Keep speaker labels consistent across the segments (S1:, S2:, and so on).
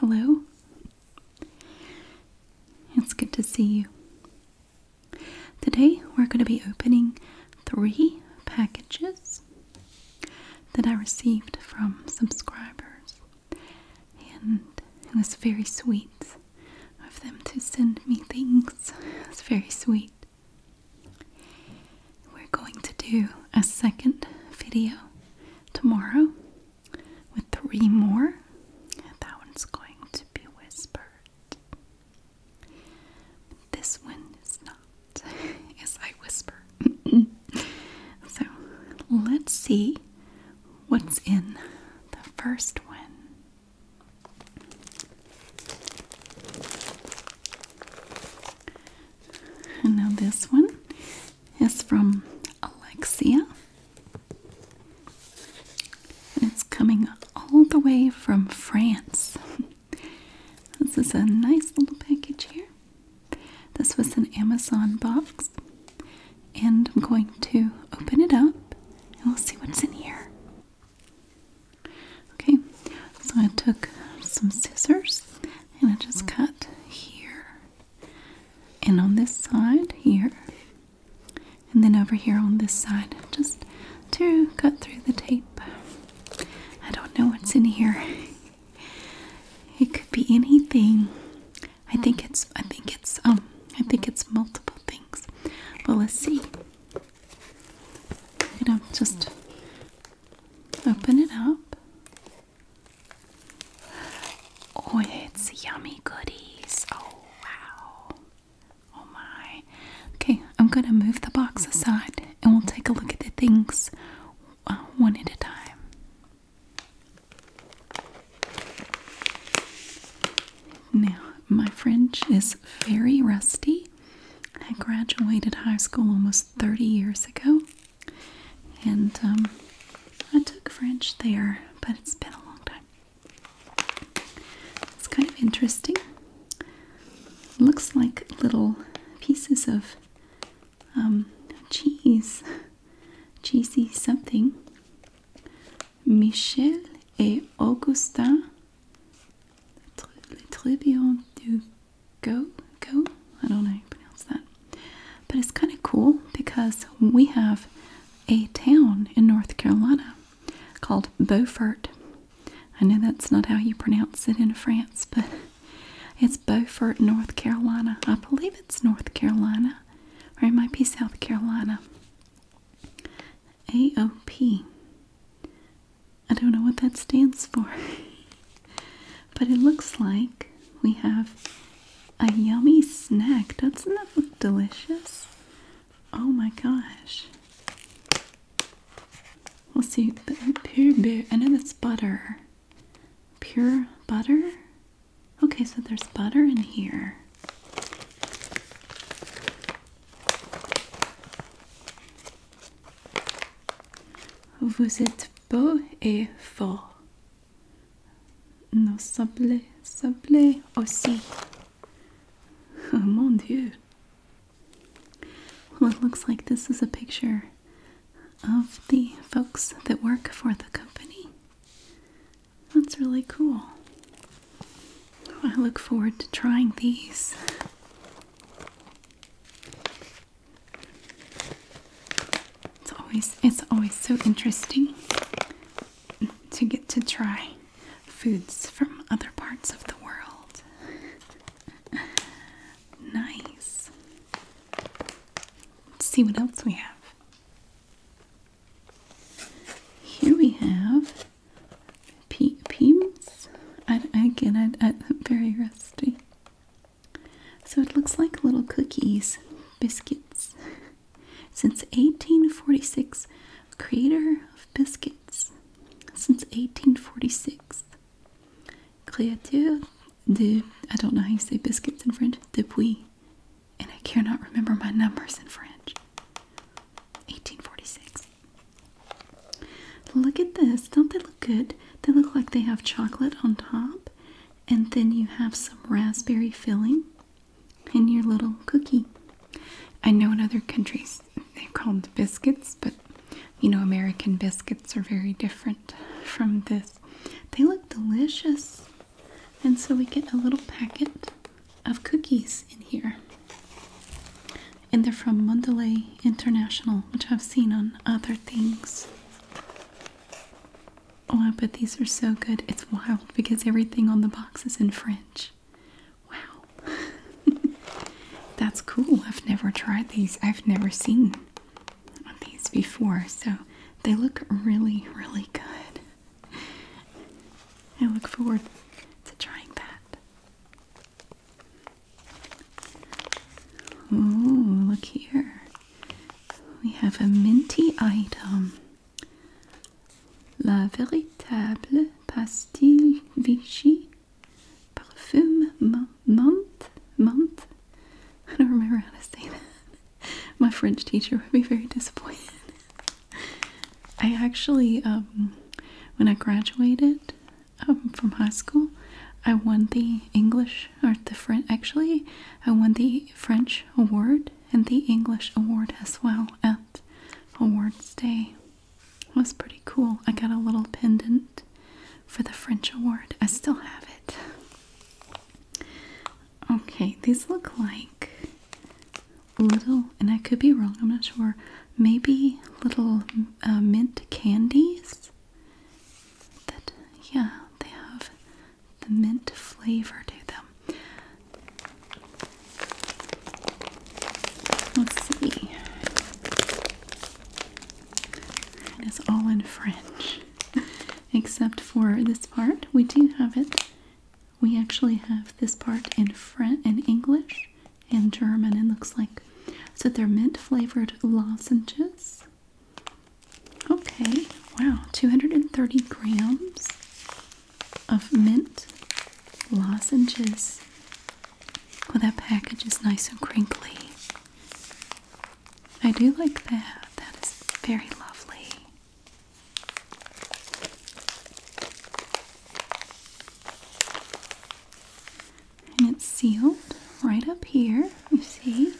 S1: Hello? It's good to see you. Today we're going to be opening three packages that I received from subscribers. And it was very sweet of them to send me things. It's very sweet. We're going to do a second video tomorrow with three more. That one's going to be whispered. This one is not, as I whisper. so let's see what's in the first one. And now this one is from Alexia. And it's coming all the way from France. This is a nice little package here. This was an Amazon box. And I'm going to open it up and we'll see what's in here. Okay, so I took some scissors and I just cut here and on this side here and then over here on this side just to cut through the tape. I don't know what's in here. It could be anything. I think it's I think it's um I think it's multiple things. But let's see. I'm gonna just Open it up. Oh, it's yummy goodies. Oh, wow. Oh, my. Okay, I'm going to move the box aside and we'll take a look at the things uh, one at a time. Now, my French is very rusty. I graduated high school almost 30 years ago. And um, I took French there, but it's been a long time. It's kind of interesting. Looks like little pieces of um, cheese, cheesy something. Michel et Augustin, les trébillons du Go, go. I don't know how you pronounce that. But it's kind of cool because we have a town in North Carolina called Beaufort. I know that's not how you pronounce it in France, but it's Beaufort, North Carolina. I believe it's North Carolina, or it might be South Carolina. AOP. I don't know what that stands for. but it looks like we have a yummy snack. Doesn't that look delicious? Oh my gosh. We'll see. Pure beer. I know that's butter. Pure butter? Okay, so there's butter in here. Vous êtes beau et fort. Non, ça plaît, ça plaît aussi. Oh, mon Dieu. Well, it looks like this is a picture of the folks that work for the company. That's really cool. I look forward to trying these. It's always it's always so interesting to get to try foods from other parts of the world. nice. Let's see what else we have. Here we have pe again, I, am very rusty. So it looks like little cookies, biscuits. Since 1846, creator of biscuits. Since 1846, créateur de, I don't know how you say biscuits in French, De puis, And I cannot remember my numbers in French. 1846. Look at this. Don't they look good? They look like they have chocolate on top, and then you have some raspberry filling in your little cookie. I know in other countries they're called biscuits, but you know, American biscuits are very different from this. They look delicious. And so we get a little packet of cookies in here. And they're from Mandalay International, which I've seen on other things. Oh, but these are so good. It's wild because everything on the box is in French. Wow. That's cool. I've never tried these. I've never seen these before. So they look really, really good. I look forward to trying that. Oh, look here. We have a minty item. La véritable pastille Vichy parfum menthe. Menthe? I don't remember how to say that. My French teacher would be very disappointed. I actually, um, when I graduated, um, from high school. I won the English, or the French, actually, I won the French award and the English award as well at Awards Day. It was pretty cool. I got a little pendant for the French award. I still have it. Okay, these look like little, and I could be wrong, I'm not sure, maybe little uh, mint candies that yeah, they have the mint flavor to them. Let's see. It is all in French. Except for this part. We do have it. We actually have this part in French in English and German, it looks like. So they're mint flavored lozenges Okay, wow, 230 grams of mint lozenges. Well, that package is nice and crinkly. I do like that. That is very lovely and it's sealed right up here, you see,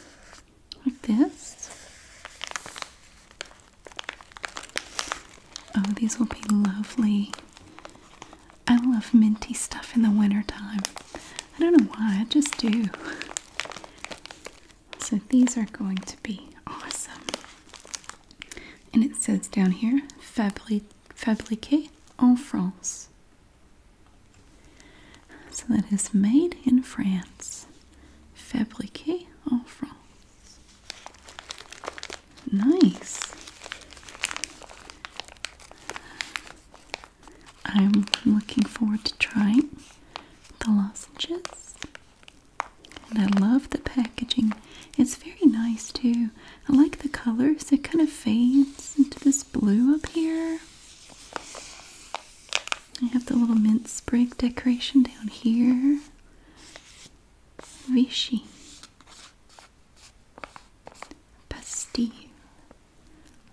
S1: like this. Oh, these will be lovely. I love minty stuff in the wintertime. I don't know why, I just do. So these are going to be awesome. And it says down here, fabriqué en France. So that is made in France. Fabriqué en France. Nice. I'm looking forward to trying the lozenges. And I love the packaging. It's very nice too. I like the colors. It kind of fades into this blue up here. I have the little mint break decoration down here. Vichy. Pastille.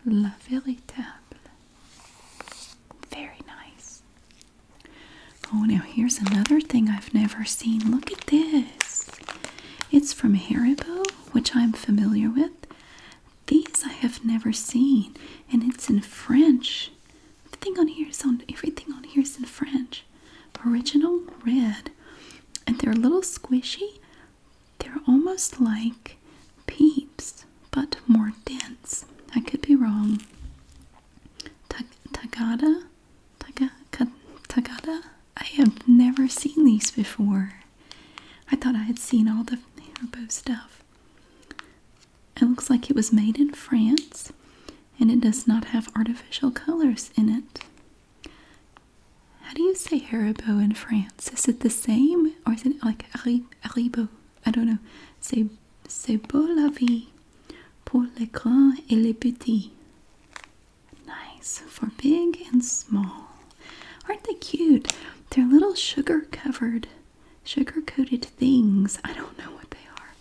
S1: La Véritable. Very nice. Oh, now here's another thing I've never seen. Look at this. It's from Haribo, which I'm familiar with. These I have never seen, and it's in French. Everything on here is in French. Original red, and they're a little squishy. They're almost like peeps, but more dense. I could be wrong. tagada, Tagada. I have never seen these before. I thought I had seen all the Haribo stuff. It looks like it was made in France and it does not have artificial colors in it. How do you say Haribo in France? Is it the same or is it like Haribo? I don't know. C'est, c'est beau la vie pour les grands et les petits. Nice for big and small. Aren't they cute? They're little sugar covered, sugar coated things. I don't know what they are.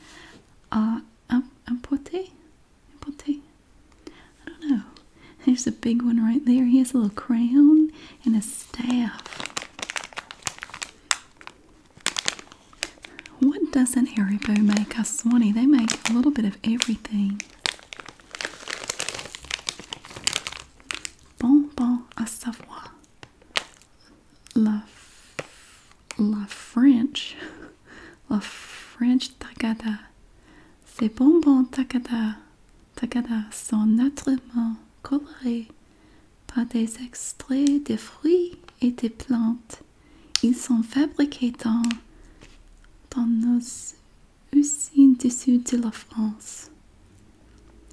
S1: Uh, um, Empote? Um, Empote? I don't know. There's a big one right there. He has a little crown and a staff. What doesn't Haribo make? us, swanny, they make a little bit of everything. Bonbons à savoir. La, la French. La French Takada. Ces bonbons Takada, Takada sont naturellement colorés par des extraits de fruits et des plantes. Ils sont fabriqués dans, dans nos Usine Tissu de la France.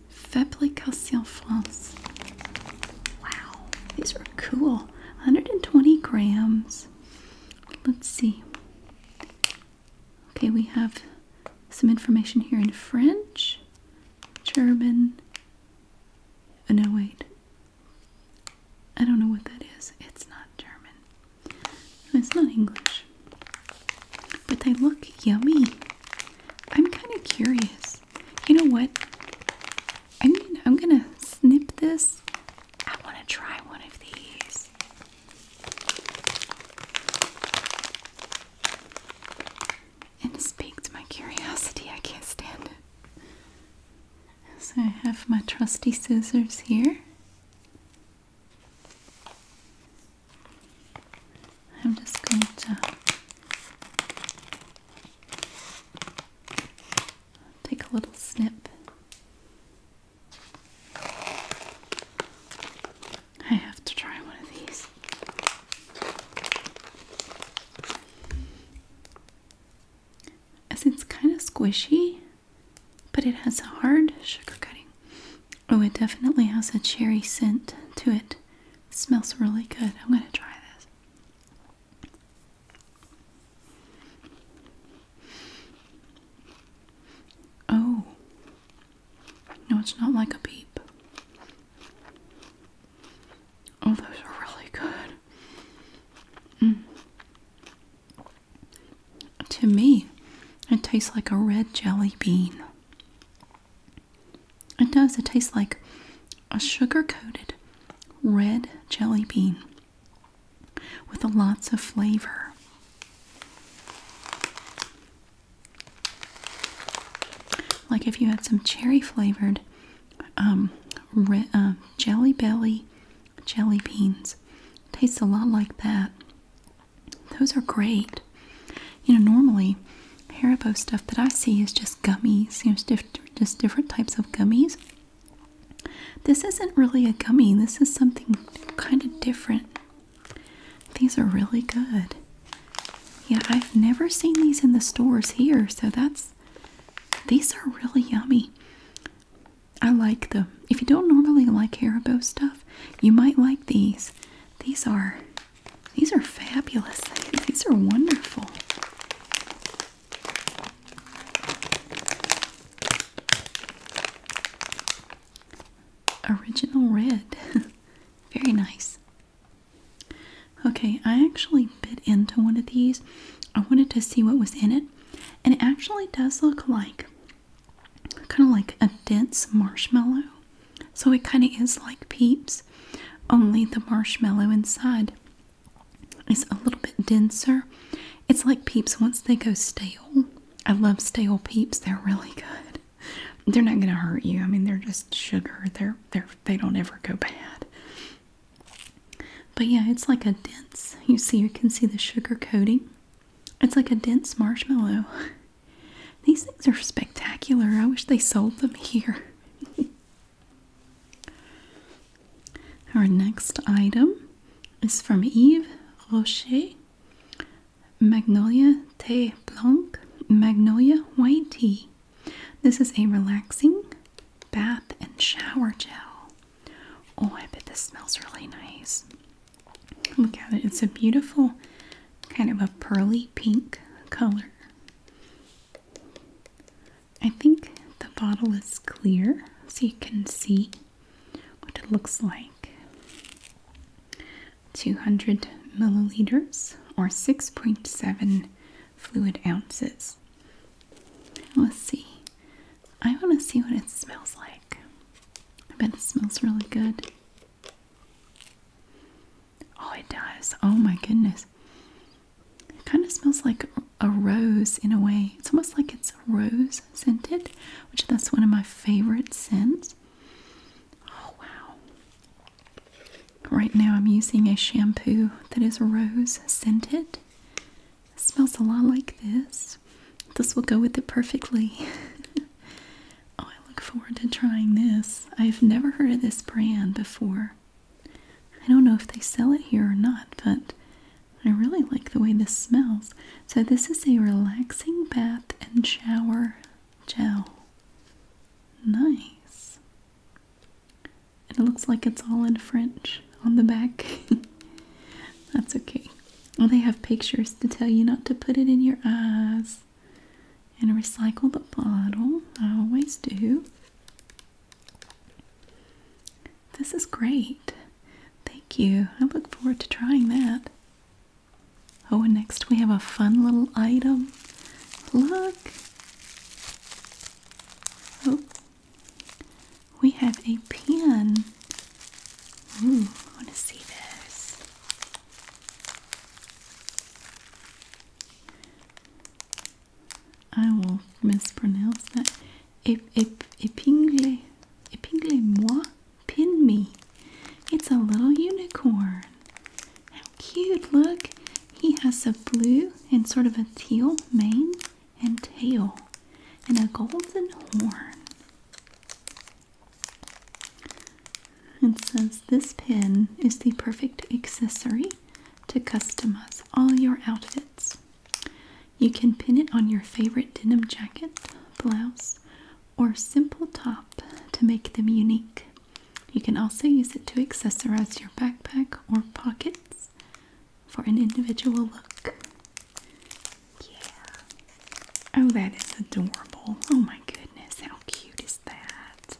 S1: Fabrication France. Wow, these are cool. 120 grams. Let's see. Okay, we have some information here in French, German. Oh, no, wait. I don't know what that is. It's not German. It's not English. But they look yummy. I'm kind of curious. You know what? I'm gonna, snip this. I want to try one of these. And speak to my curiosity. I can't stand it. So I have my trusty scissors here. I'm just going to take a little snip. I have to try one of these. As it's kind of squishy, but it has a hard sugar coating. Oh, it definitely has a cherry scent to it. smells really good. I'm going to try this. Oh. No, it's not like a peep. Oh, those are really good. Mm. To me, it tastes like a red jelly bean. It does. It tastes like a sugar coated red jelly bean with lots of flavor. Like if you had some cherry flavored um, uh, jelly belly jelly beans. Tastes a lot like that. Those are great. You know, normally Haribo stuff that I see is just gummies, you know, just different types of gummies. This isn't really a gummy, this is something kind of different. These are really good. Yeah, I've never seen these in the stores here, so that's these are really yummy. I like them. If you don't normally like Haribo stuff, you might like these. These are these are fabulous These are wonderful. Original red. Very nice. Okay, I actually bit into one of these. I wanted to see what was in it, and it actually does look like kind of like a dense marshmallow. So it kind of is like Peeps, only the marshmallow inside is a little bit denser. It's like Peeps once they go stale. I love stale Peeps. They're really good. They're not gonna hurt you. I mean, they're just sugar. They're they're they don't ever go bad. But yeah, it's like a dense. You see, you can see the sugar coating. It's like a dense marshmallow. These things are spectacular. I wish they sold them here. Our next item is from Yves Rocher Magnolia Tea Blanc Magnolia White Tea. This is a relaxing bath and shower gel. Oh, I bet this smells really nice. Look at it. It's a beautiful kind of a pearly pink color. I think the bottle is clear so you can see what it looks like. 200 milliliters or 6.7 fluid ounces. Let's see. I want to see what it smells like. I bet it smells really good. Oh, it does. Oh my goodness. It kind of smells like a rose in a way. It's almost like it's rose scented, which that's one of my favorite scents. Oh wow. Right now I'm using a shampoo that is rose scented. smells a lot like this. This will go with it perfectly. Oh, I look forward to trying this. I've never heard of this brand before. I don't know if they sell it here or not, but I really like the way this smells. So, this is a relaxing bath and shower gel. Nice. And it looks like it's all in French on the back. That's okay. Well, they have pictures to tell you not to put it in your eyes and recycle the bottle. I always do. This is great. Thank you. I look forward to trying that. Oh, and next we have a fun little item. Look. Oh, we have a pen. Ooh, I want to see this. I will mispronounce that. Epingle, epingle moi, pin me. It's a little unicorn. How cute! Look, he has a blue and sort of a teal mane and tail, and a golden horn. It says this pin is the perfect accessory to customize all your outfits. You can pin it on your favorite denim jacket, blouse, or simple top to make them unique. You can also use it to accessorize your backpack or pockets for an individual look. Yeah. Oh, that is adorable. Oh my goodness, how cute is that?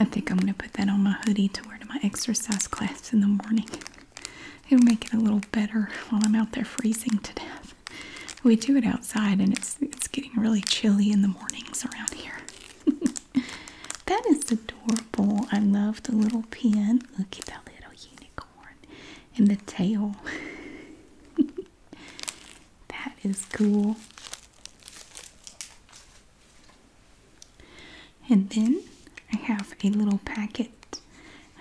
S1: I think I'm going to put that on my hoodie to wear to my exercise class in the morning. It'll make it a little better while I'm out there freezing to death. We do it outside and it's it's getting really chilly in the mornings around here. that is adorable. I love the little pin. Look at that little unicorn and the tail. that is cool. And then I have a little packet.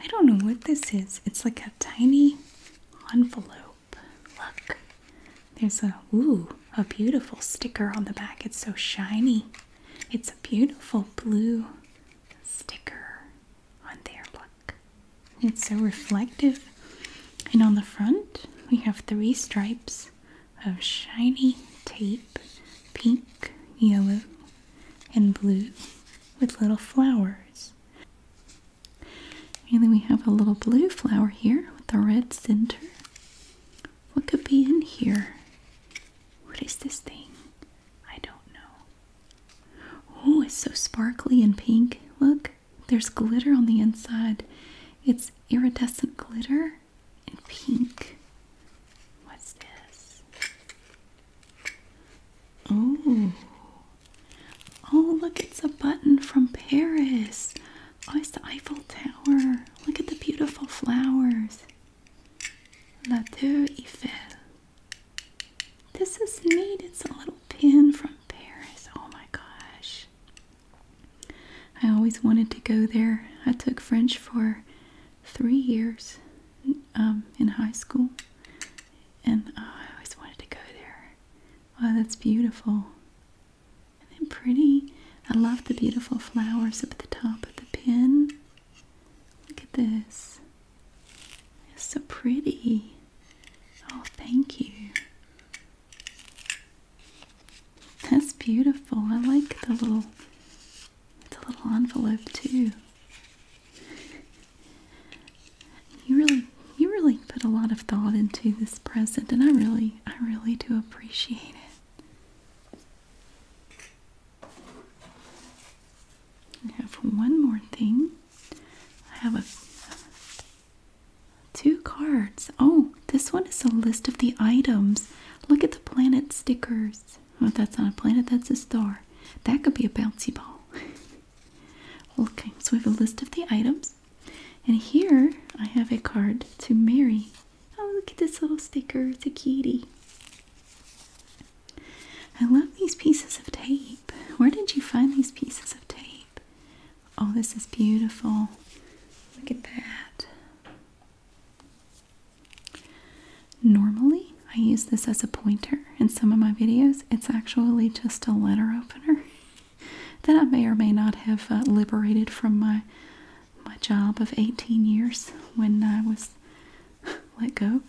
S1: I don't know what this is. It's like a tiny envelope. Look. There's a ooh, a beautiful sticker on the back. It's so shiny. It's a beautiful blue sticker on there. Look. It's so reflective. And on the front, we have three stripes of shiny tape pink, yellow, and blue with little flowers. And then we have a little blue flower here with a red center. What could be in here? What is this thing? I don't know. Oh, it's so sparkly and pink. Look. There's glitter on the inside. It's iridescent glitter and pink. What's this? Oh. Oh, look, it's a button from Paris. Oh, it's the Eiffel Tower. Look at the beautiful flowers. La Tour Eiffel. This is neat. It's a little pin from Paris. Oh my gosh. I always wanted to go there. I took French for three years um, in high school, and uh, I always wanted to go there. Wow, that's beautiful. And pretty. I love the beautiful flowers up at the top of the pin. Look at this. It's so pretty. Oh, thank you. That's beautiful. I like the little the little envelope too. You really you really put a lot of thought into this present and I really I really do appreciate it. I have one more thing. I have a Two cards. Oh, this one is a list of the items. Look at the planet stickers. Well, oh, that's not a planet, that's a star. That could be a bouncy ball. okay, so we have a list of the items. And here I have a card to Mary. Oh, look at this little sticker. to kitty. I love these pieces of tape. Where did you find these pieces of tape? Oh, this is beautiful. Look at that. Normally, I use this as a pointer in some of my videos. It's actually just a letter opener that I may or may not have uh, liberated from my my job of 18 years when I was let go.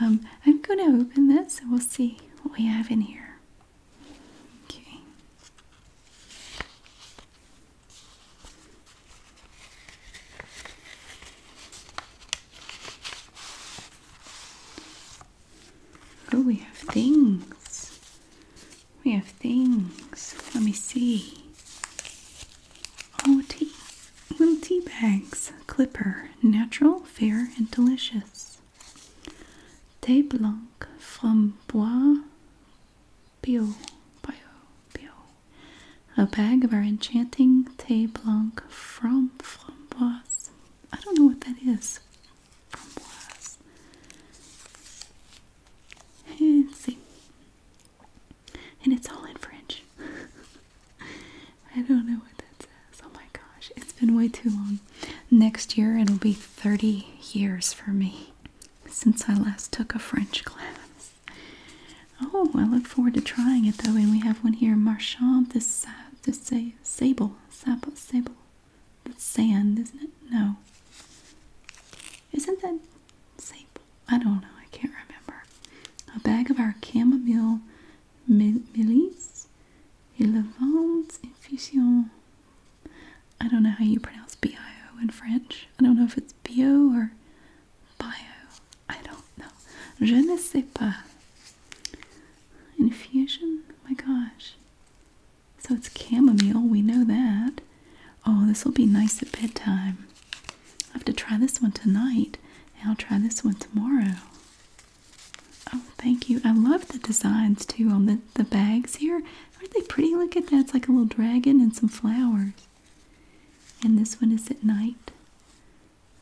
S1: Um, I'm going to open this and we'll see what we have in here. Okay. Oh, we have things. We have things. Let me see. Oh, tea. Little tea bags. Clipper. Natural, fair, and delicious. Thé blanc from Bois Bio, bio, bio. A bag of our enchanting Thé Blanc from Framboise. I don't know what that is. Framboise. Eh, see. And it's all in French. I don't know what that says. Oh my gosh, it's been way too long. Next year it'll be 30 years for me since I last took a French class. Oh, I look forward to trying it though, and we have one here, Marchand this this say sable. Sable sable. That's sand, isn't it? No. Isn't that sable? I don't know, I can't remember. A bag of our chamomile mélisse, et levante infusion I don't know how you pronounce bio in French. I don't know if it's bio or bio. I don't know. Je ne sais pas. Infusion? Oh my gosh. So it's chamomile. We know that. Oh, this will be nice at bedtime. I have to try this one tonight, and I'll try this one tomorrow. Oh, thank you. I love the designs too on the, the bags here. Aren't they pretty? Look at that. It's like a little dragon and some flowers. And this one is at night.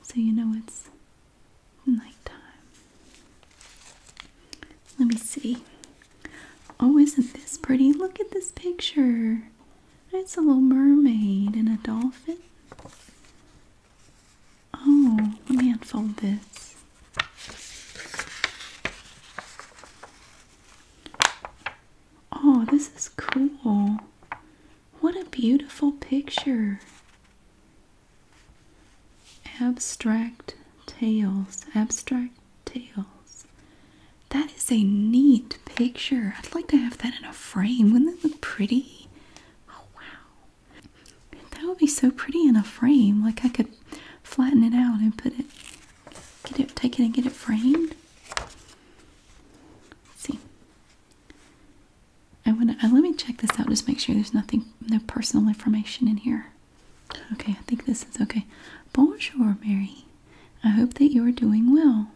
S1: So you know it's nighttime. Let me see. Oh, isn't this pretty? Look at this picture. It's a little mermaid and a dolphin. Oh, let me unfold this. Oh, this is cool. What a beautiful picture. Abstract Tales. Abstract Tales. That is a neat picture. I'd like to have that in a frame. Wouldn't that look pretty? Oh, wow. That would be so pretty in a frame. Like I could flatten it out and put it get it, take it and get it framed. see, I want to. Uh, let me check this out. Just make sure there's nothing, no personal information in here. Okay, I think this is okay. Bonjour, Mary. I hope that you are doing well.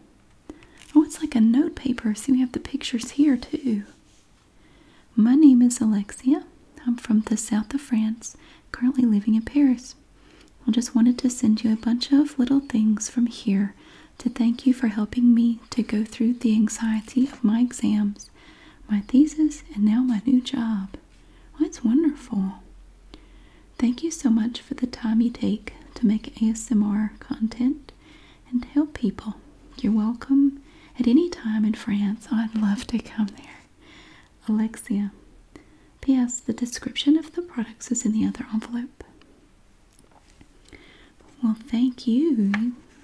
S1: Oh, it's like a note paper. See, we have the pictures here too. My name is Alexia. I'm from the south of France, currently living in Paris. I just wanted to send you a bunch of little things from here to thank you for helping me to go through the anxiety of my exams, my thesis, and now my new job. Well, it's wonderful. Thank you so much for the time you take to make ASMR content and help people. You're welcome at any time in France. I'd love to come there. Alexia. P.S. The description of the products is in the other envelope. Well, thank you.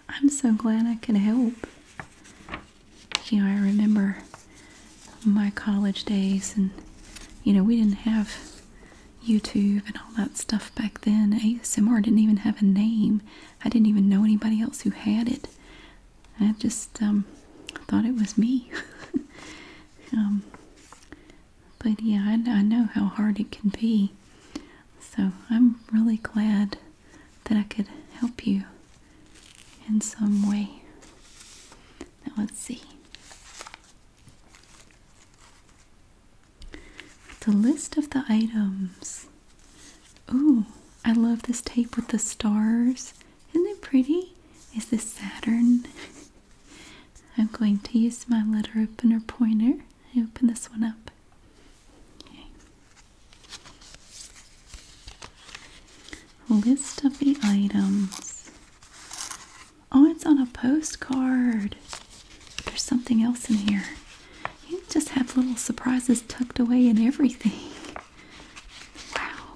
S1: I'm so glad I could help. You know, I remember my college days, and you know, we didn't have YouTube and all that stuff back then. ASMR didn't even have a name. I didn't even know anybody else who had it. I just um, thought it was me. Um, but yeah, I, I know how hard it can be. So I'm really glad that I could help you in some way. Now let's see. The list of the items. Ooh, I love this tape with the stars isn't it pretty? Is this Saturn? I'm going to use my letter opener pointer. I open this one up. Okay. List of the items. Oh, it's on a postcard. There's something else in here. You just have little surprises tucked away in everything. Wow.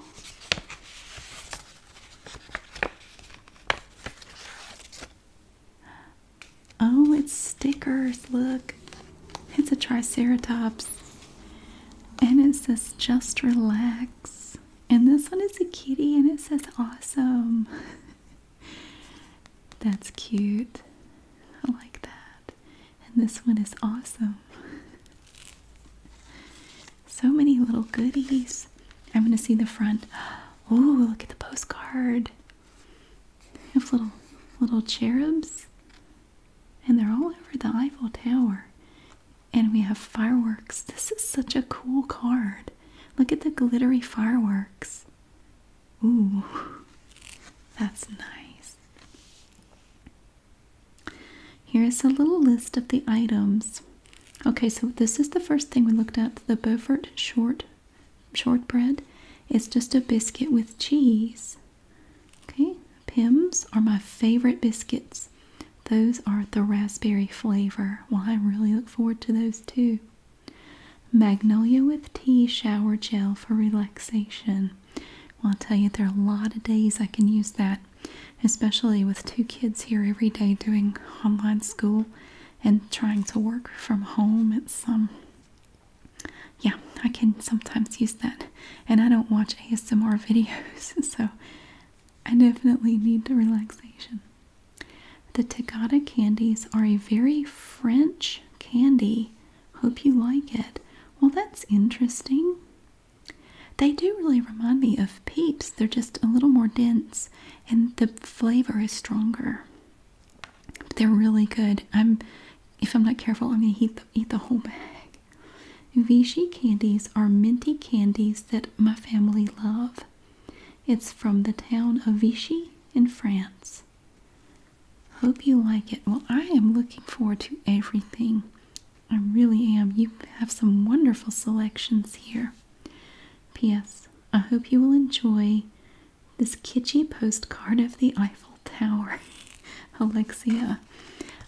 S1: Oh, it's stickers. Look, it's a Triceratops. And it says just relax. And this one is a kitty and it says awesome. That's cute. I like that. And this one is awesome. So many little goodies. I am going to see the front. Ooh, look at the postcard. We have little little cherubs. And they're all over the Eiffel Tower. And we have fireworks. This is such a cool card. Look at the glittery fireworks. Ooh, that's nice. Here's a little list of the items. Okay, so this is the first thing we looked at, the Beaufort short shortbread. It's just a biscuit with cheese. Okay, Pims are my favorite biscuits. Those are the raspberry flavor. Well, I really look forward to those too. Magnolia with tea shower gel for relaxation. Well, i tell you, there are a lot of days I can use that especially with two kids here every day doing online school and trying to work from home. It's um yeah, I can sometimes use that. And I don't watch ASMR videos, so I definitely need the relaxation. The Tagada candies are a very French candy. Hope you like it. Well, that's interesting. They do really remind me of Peeps. They're just a little more dense and the flavor is stronger. they're really good. I'm if I'm not careful, I'm going to eat eat the whole bag. Vichy candies are minty candies that my family love. It's from the town of Vichy in France. Hope you like it. Well, I am looking forward to everything I really am. You have some wonderful selections here. P.S. I hope you will enjoy this kitschy postcard of the Eiffel Tower. Alexia.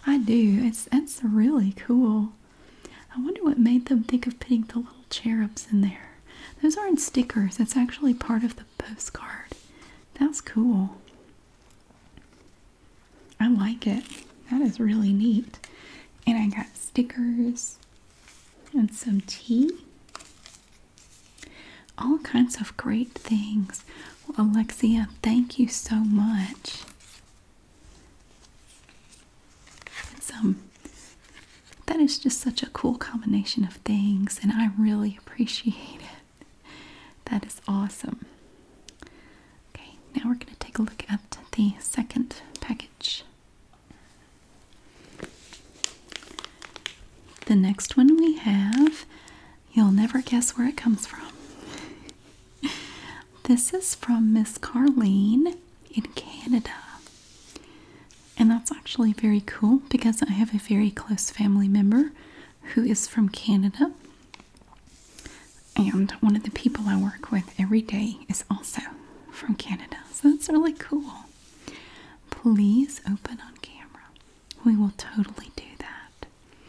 S1: I do. It's that's really cool. I wonder what made them think of putting the little cherubs in there. Those aren't stickers. That's actually part of the postcard. That's cool. I like it. That is really neat. And I got stickers and some tea. All kinds of great things. Alexia, thank you so much. Um, that is just such a cool combination of things, and I really appreciate it. That is awesome. Okay, now we're going to take a look at the second package. The next one we have, you'll never guess where it comes from. this is from Miss Carlene in Canada. And that's actually very cool because I have a very close family member who is from Canada. And one of the people I work with every day is also from Canada. So that's really cool. Please open on camera. We will totally do that.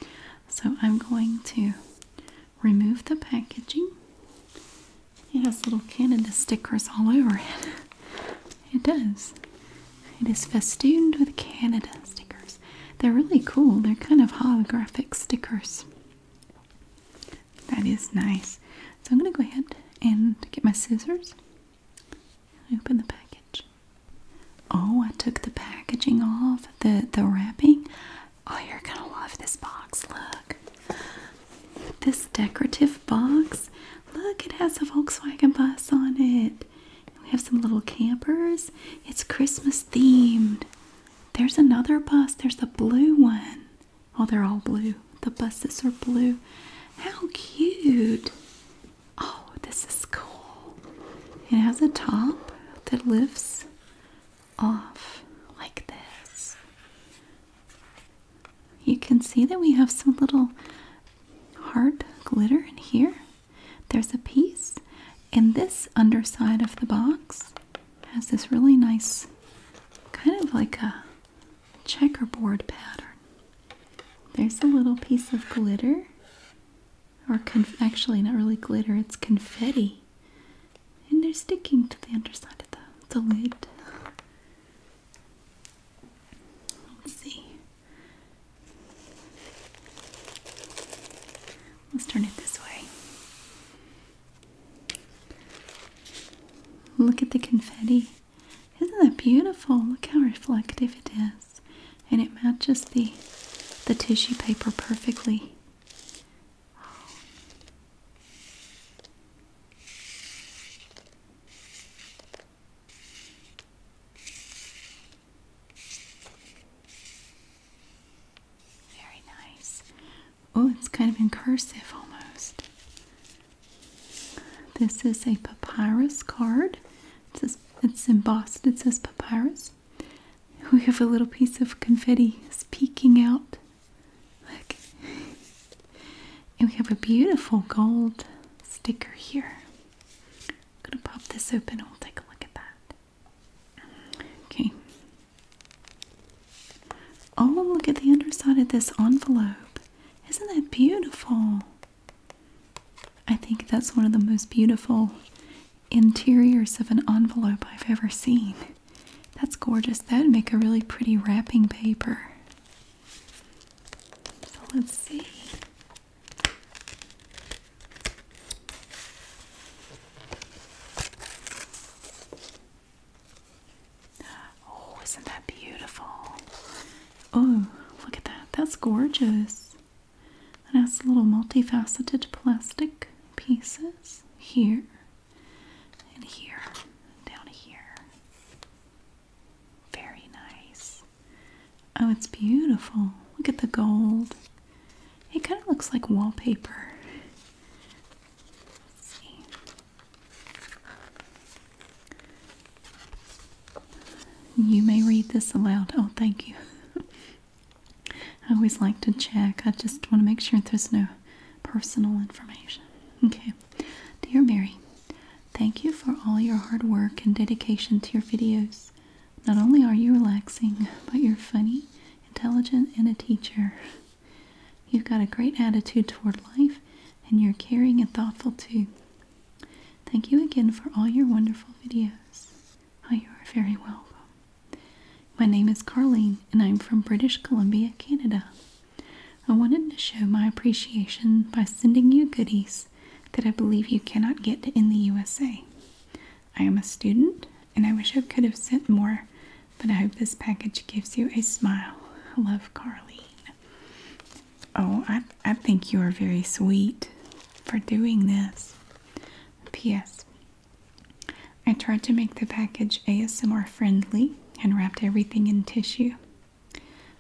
S1: So I'm going to remove the packaging. It has little Canada stickers all over it. It does. It is festooned with Canada stickers. They're really cool. They're kind of holographic stickers. That is nice. So I'm going to go ahead and get my scissors and open the package. Oh, I took the packaging off, the, the wrapping. Oh, you're going to love this box. Look. This decorative box. Look, it has a Volkswagen bus on it. We have some little campers. It's Christmas themed. There's another bus. There's the blue one. Oh, they're all blue. The buses are blue. How cute. Oh, this is cool. It has a top that lifts off like this. You can see that we have some little heart glitter in here. There's a piece. in this underside of the box has this really nice kind of like a checkerboard pattern. There's a little piece of glitter or actually not really glitter, it's confetti. And they're sticking to the underside of the, the lid. Let's see. Let's turn it this way. Look at the confetti. Isn't that beautiful? Look how reflective it is. And it matches the the tissue paper perfectly. Very nice. Oh, it's kind of incursive almost. This is a papyrus card. It says, it's embossed. It says papyrus. We have a little piece of confetti it's peeking out. Look. And we have a beautiful gold sticker here. I'm going to pop this open and we'll take a look at that. Okay. Oh, look at the underside of this envelope. Isn't that beautiful? I think that's one of the most beautiful interiors of an envelope I've ever seen. That's gorgeous. That would make a really pretty wrapping paper. So let's see. Oh, isn't that beautiful? Oh, look at that. That's gorgeous. It has little multifaceted plastic pieces here and here, down here. Very nice. Oh, it's beautiful. Look at the gold. It kind of looks like wallpaper. You may read this aloud. Oh, thank you. I always like to check. I just want to make sure there's no personal information. Okay. Dear Mary, thank you for all your hard work and dedication to your videos. Not only are you relaxing, but you're funny, intelligent, and a teacher. You've got a great attitude toward life and you're caring and thoughtful too. Thank you again for all your wonderful videos. you are very welcome. My name is Carlene and I'm from British Columbia, Canada. I wanted to show my appreciation by sending you goodies that I believe you cannot get in the USA. I am a student and I wish I could have sent more, but I hope this package gives you a smile. Love, Carlene. Oh, I, I think you are very sweet for doing this. P.S. I tried to make the package ASMR friendly and wrapped everything in tissue.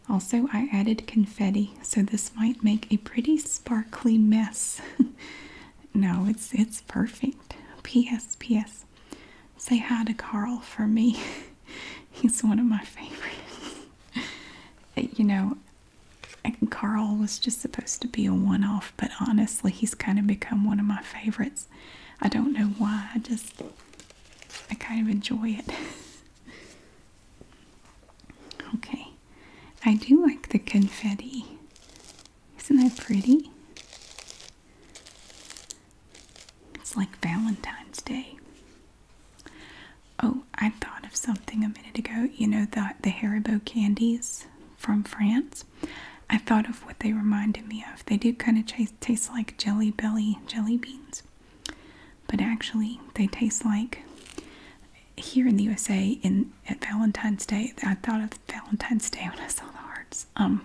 S1: Also, I added confetti, so this might make a pretty sparkly mess. No, it's it's perfect. P.S. P.S. Say hi to Carl for me. He's one of my favorites. you know, Carl was just supposed to be a one-off, but honestly, he's kind of become one of my favorites. I don't know why. I just I kind of enjoy it. okay, I do like the confetti. Isn't that pretty? It's like Valentine's Day. Oh, I thought of something a minute ago. You know the the Haribo candies from France. I thought of what they reminded me of. They do kind of taste like Jelly Belly jelly beans, but actually they taste like here in the USA in at Valentine's Day. I thought of Valentine's Day when I saw the hearts. Um,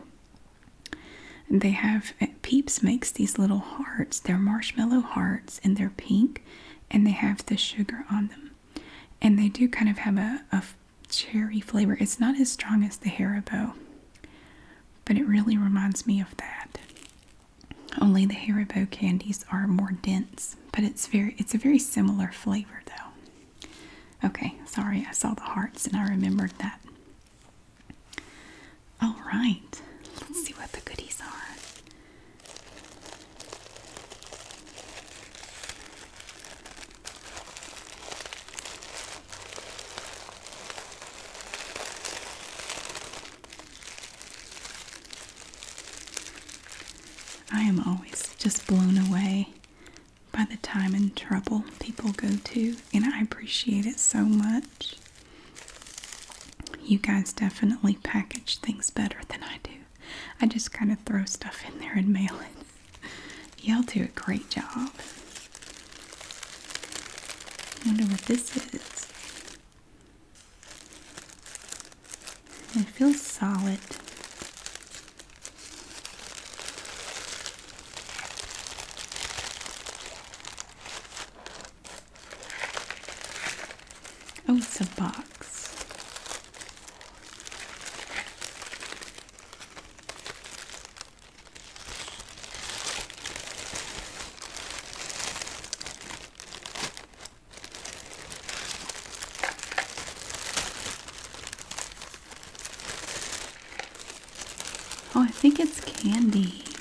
S1: um, they have eh, Peeps makes these little hearts. They're marshmallow hearts, and they're pink, and they have the sugar on them. And they do kind of have a, a cherry flavor. It's not as strong as the Haribo, but it really reminds me of that. Only the Haribo candies are more dense, but it's very it's a very similar flavor though. Okay, sorry, I saw the hearts and I remembered that. All right, let's see what the goodies are. I am always just blown away by the time and trouble people go to, and I appreciate it so much. You guys definitely package things better than I do. I just kind of throw stuff in there and mail it. Y'all do a great job. Wonder what this is. It feels solid. Oh, it's a box. Oh, I think it's candies.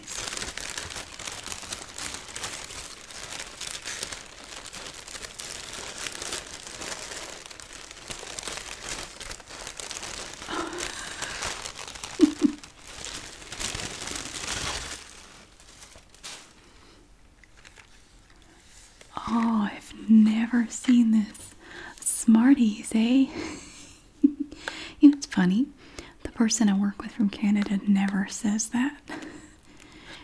S1: Oh, I've never seen this. Smarties, eh? you know, it's funny. The person I work with from Canada never says that.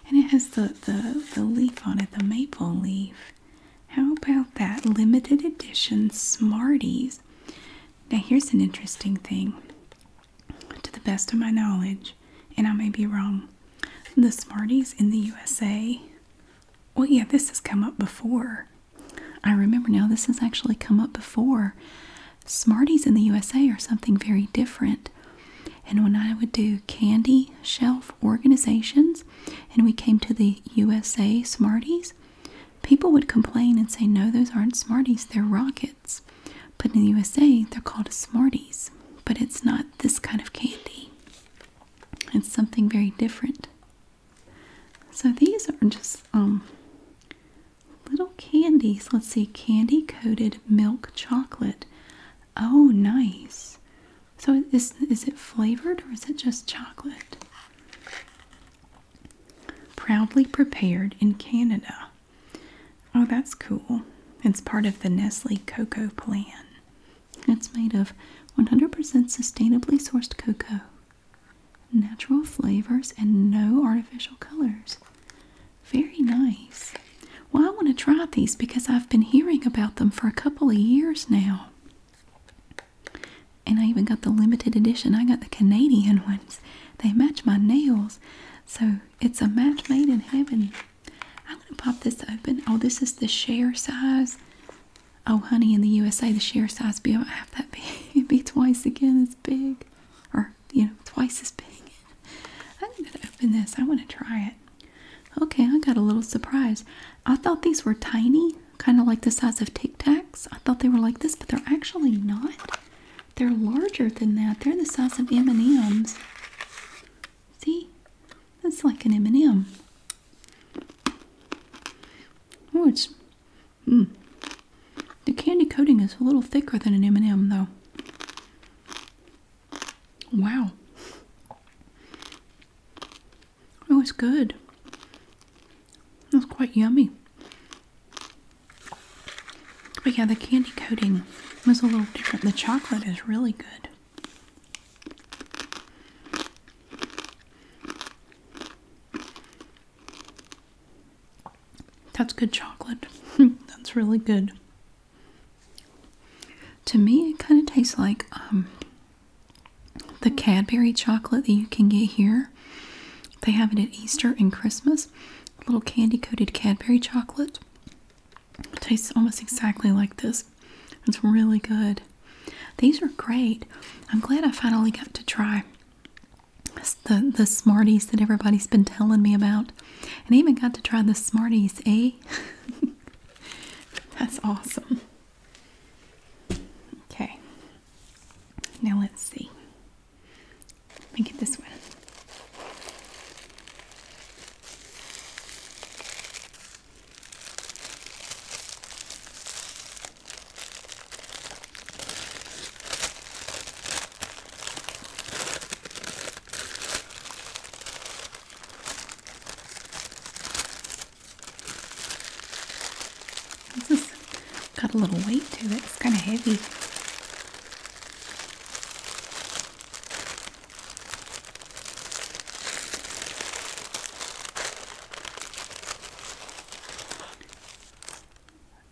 S1: And it has the, the, the leaf on it, the maple leaf. How about that? Limited edition Smarties. Now, here's an interesting thing. To the best of my knowledge, and I may be wrong, the Smarties in the USA well, yeah, this has come up before. I remember now this has actually come up before. Smarties in the USA are something very different. And when I would do candy shelf organizations and we came to the USA Smarties, people would complain and say, No, those aren't Smarties, they're rockets. But in the USA, they're called Smarties, but it's not this kind of candy, it's something very different. So these are just um little candies. Let's see, candy coated milk chocolate. Oh, nice. So is is it flavored or is it just chocolate? Proudly prepared in Canada. Oh, that's cool. It's part of the Nestle Cocoa Plan. It's made of 100% sustainably sourced cocoa, natural flavors, and no artificial colors. Very nice. Well, I want to try these because I've been hearing about them for a couple of years now. And I even got the limited edition. I got the Canadian ones. They match my nails. So it's a match made in heaven. I'm going to pop this open. Oh, this is the share size. Oh, honey, in the USA, the share size would be about half that big. be twice again as big, or you know, twice as big. I'm gonna open this. I want to try it. Okay, I got a little surprise. I thought these were tiny, kind of like the size of Tic Tacs. I thought they were like this, but they're actually not. They're larger than that. They're the size of M&Ms. See? That's like an M&M. Oh, it's... Mm. The candy coating is a little thicker than an M&M, though. Wow. Oh, it's good. That's quite yummy. But yeah, the candy coating was a little different. The chocolate is really good. That's good chocolate. That's really good. To me, it kind of tastes like um, the Cadbury chocolate that you can get here. They have it at Easter and Christmas. Little candy coated Cadbury chocolate. tastes almost exactly like this. It's really good. These are great. I'm glad I finally got to try the the Smarties that everybody's been telling me about, and I even got to try the Smarties, eh? That's awesome. Okay, now let's see. Let me get this one. This has got a little weight to it. It's kind of heavy.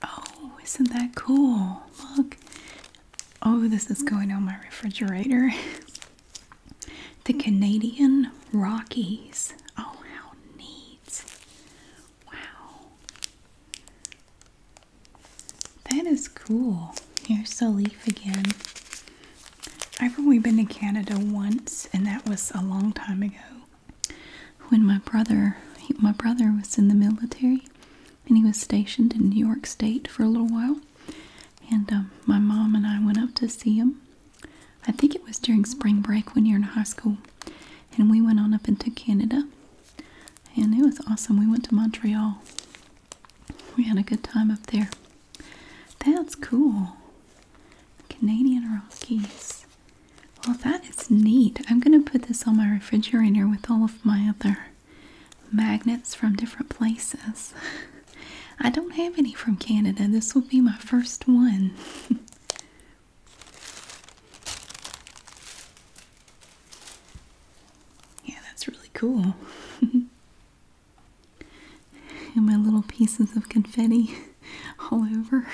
S1: Oh, isn't that cool? Look. Oh, this is going on my refrigerator. the Canadian Rockies. Oh, how neat. Wow. That is cool. Here's the leaf again. I've only been to Canada once, and that was a long time ago when my brother my brother was in the military, and he was stationed in New York State for a little while. And um, my mom and I went up to see him. I think it was during spring break when you're in high school, and we went on up into Canada, and it was awesome. We went to Montreal. We had a good time up there. That's cool. Canadian Rockies. Well, that is neat. I'm going to put this on my refrigerator with all of my other magnets from different places. I don't have any from Canada. This will be my first one. yeah, that's really cool. and my little pieces of confetti all over.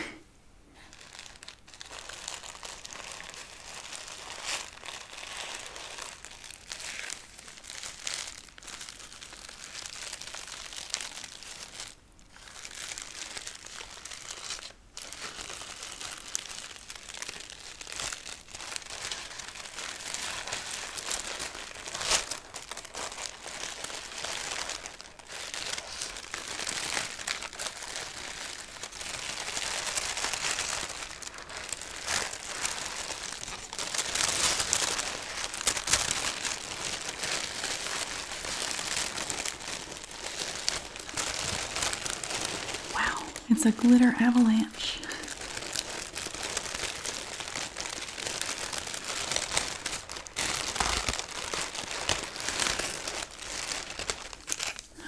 S1: Wow, it's a glitter avalanche.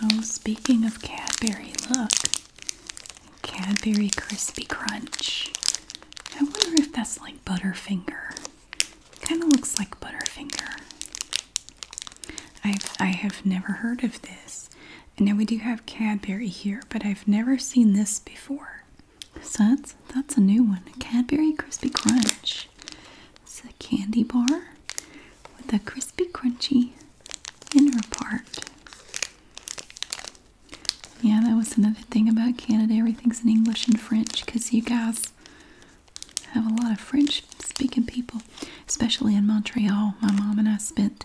S1: Oh, speaking of Cadbury, look. Cadbury Crispy Crunch. I wonder if that's like Butterfinger. Kind of looks like Butterfinger. I've, I have never heard of this. And now we do have Cadbury here, but I've never seen this before. So that's that's a new one. A Cadbury Crispy Crunch. It's a candy bar with a crispy crunchy inner part. Yeah, that was another thing about Canada. Everything's in English and French because you guys have a lot of French speaking people, especially in Montreal. My mom and I spent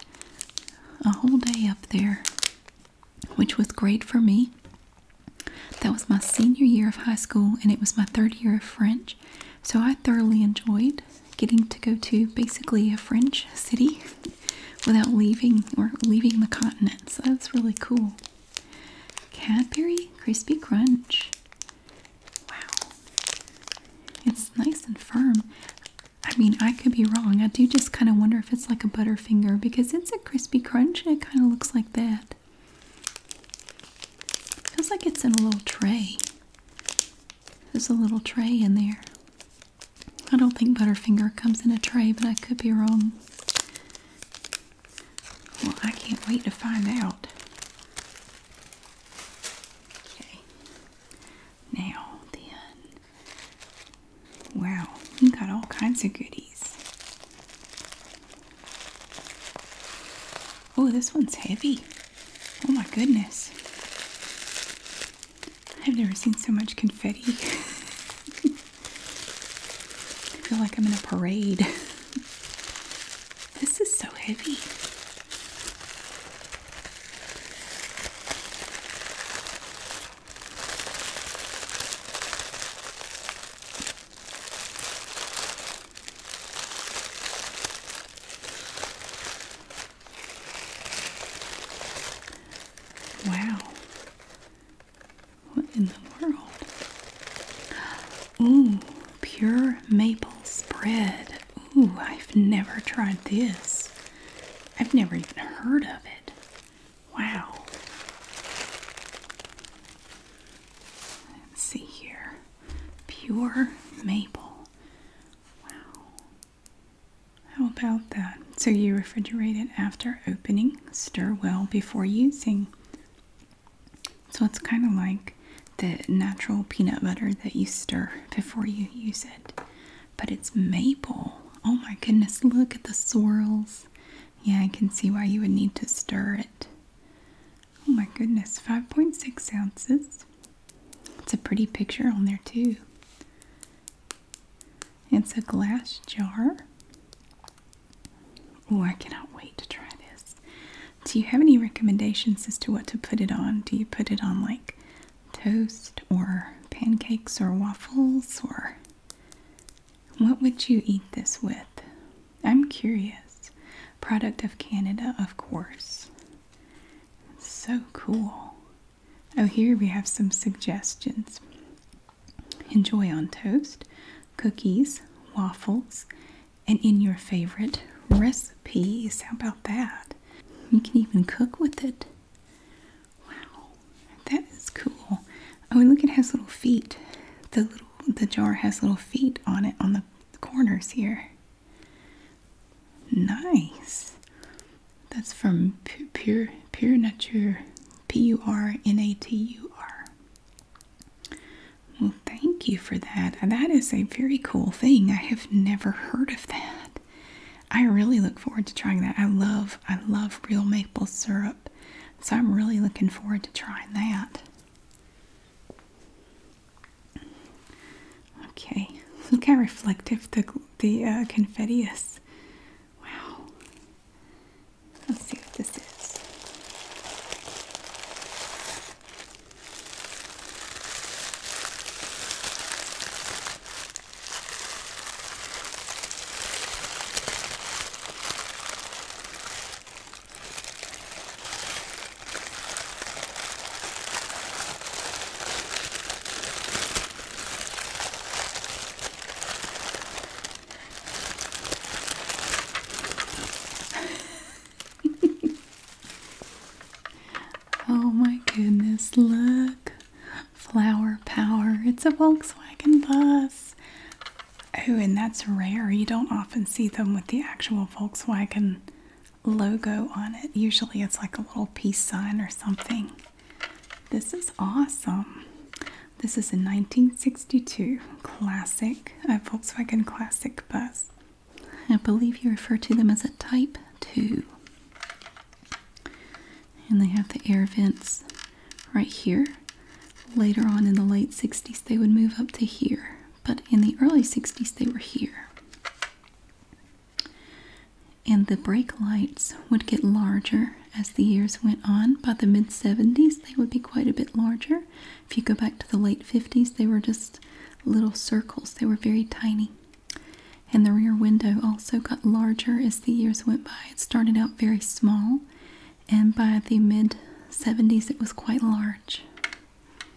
S1: a whole day up there which was great for me. That was my senior year of high school, and it was my third year of French. So I thoroughly enjoyed getting to go to basically a French city without leaving or leaving the continent. So that's really cool. Cadbury Crispy Crunch. Wow. It's nice and firm. I mean, I could be wrong. I do just kind of wonder if it's like a Butterfinger because it's a crispy crunch and it kind of looks like that. Feels like it's in a little tray. There's a little tray in there. I don't think Butterfinger comes in a tray, but I could be wrong. Well, I can't wait to find out. Okay. Now then. Wow, you got all kinds of goodies. Oh, this one's heavy. Oh my goodness. I've never seen so much confetti. I feel like I'm in a parade. this is so heavy. Wow. What in the world? Ooh, pure maple spread. Ooh, I've never tried this. I've never even heard of it. Wow. see here. Pure maple. Wow. How about that? So you refrigerate it after opening. Stir well before using. So it's kind of like the natural peanut butter that you stir before you use it. But it's maple. Oh my goodness, look at the swirls. Yeah, I can see why you would need to stir it. Oh my goodness, 5.6 ounces. It's a pretty picture on there, too. It's a glass jar. Oh, I cannot wait to try this. Do you have any recommendations as to what to put it on? Do you put it on like toast or pancakes or waffles or what would you eat this with? I'm curious. Product of Canada, of course. So cool. Oh, here we have some suggestions. Enjoy on toast, cookies, waffles, and in your favorite recipes. How about that? You can even cook with it. Wow, that is cool. Oh, and look, it has little feet. The little the jar has little feet on it on the corners here. Nice. That's from Pure Pure Nature, P U R N A T U R. Well, thank you for that. That is a very cool thing. I have never heard of that. I really look forward to trying that. I love I love real maple syrup. So I'm really looking forward to trying that. Okay, look how reflective the the uh, confetti is. Wow. Let's see what this is. oh my goodness, look. Flower power. It's a Volkswagen bus. Oh, and that's rare. You don't often see them with the actual Volkswagen logo on it. Usually it's like a little peace sign or something. This is awesome. This is a 1962 classic, Volkswagen classic bus. I believe you refer to them as a Type 2. And they have the air vents right here. Later on in the late 60s, they would move up to here, but in the early 60s, they were here. And the brake lights would get larger as the years went on. By the mid 70s, they would be quite a bit larger. If you go back to the late 50s, they were just little circles, they were very tiny. And the rear window also got larger as the years went by. It started out very small and by the mid 70s it was quite large.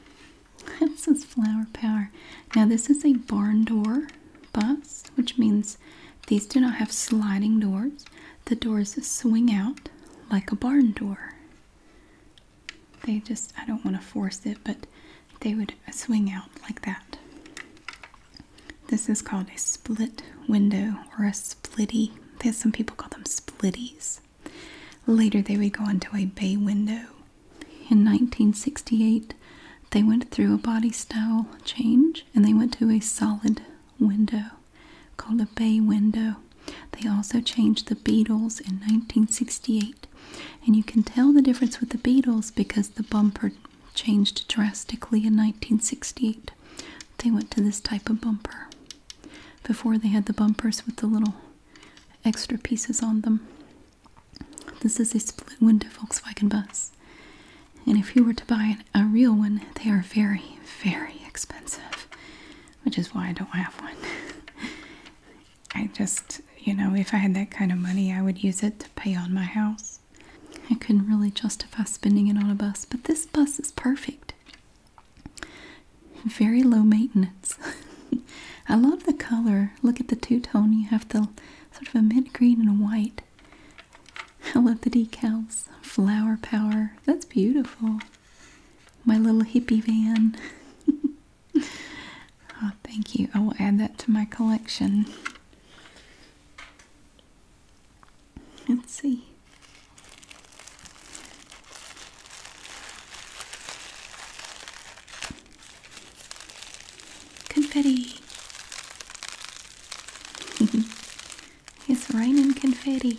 S1: this is flower power. Now, this is a barn door bus, which means these do not have sliding doors. The doors swing out like a barn door. They just, I don't want to force it, but they would swing out like that. This is called a split window or a splitty. There's some people call them splitties. Later, they would go into a bay window. In 1968, they went through a body style change and they went to a solid window called a bay window. They also changed the Beatles in 1968. And you can tell the difference with the Beatles because the bumper changed drastically in 1968. They went to this type of bumper. Before they had the bumpers with the little extra pieces on them. This is a split window Volkswagen bus. And if you were to buy a real one, they are very, very expensive, which is why I don't have one. I just, you know, if I had that kind of money, I would use it to pay on my house. I couldn't really justify spending it on a bus, but this bus is perfect. Very low maintenance. I love the color. Look at the two tone. You have the sort of a mid green and white. I love the decals. Flower power. That's beautiful. My little hippie van. Ah, thank you. I will add that to my collection. Let's see. Confetti. it's raining confetti.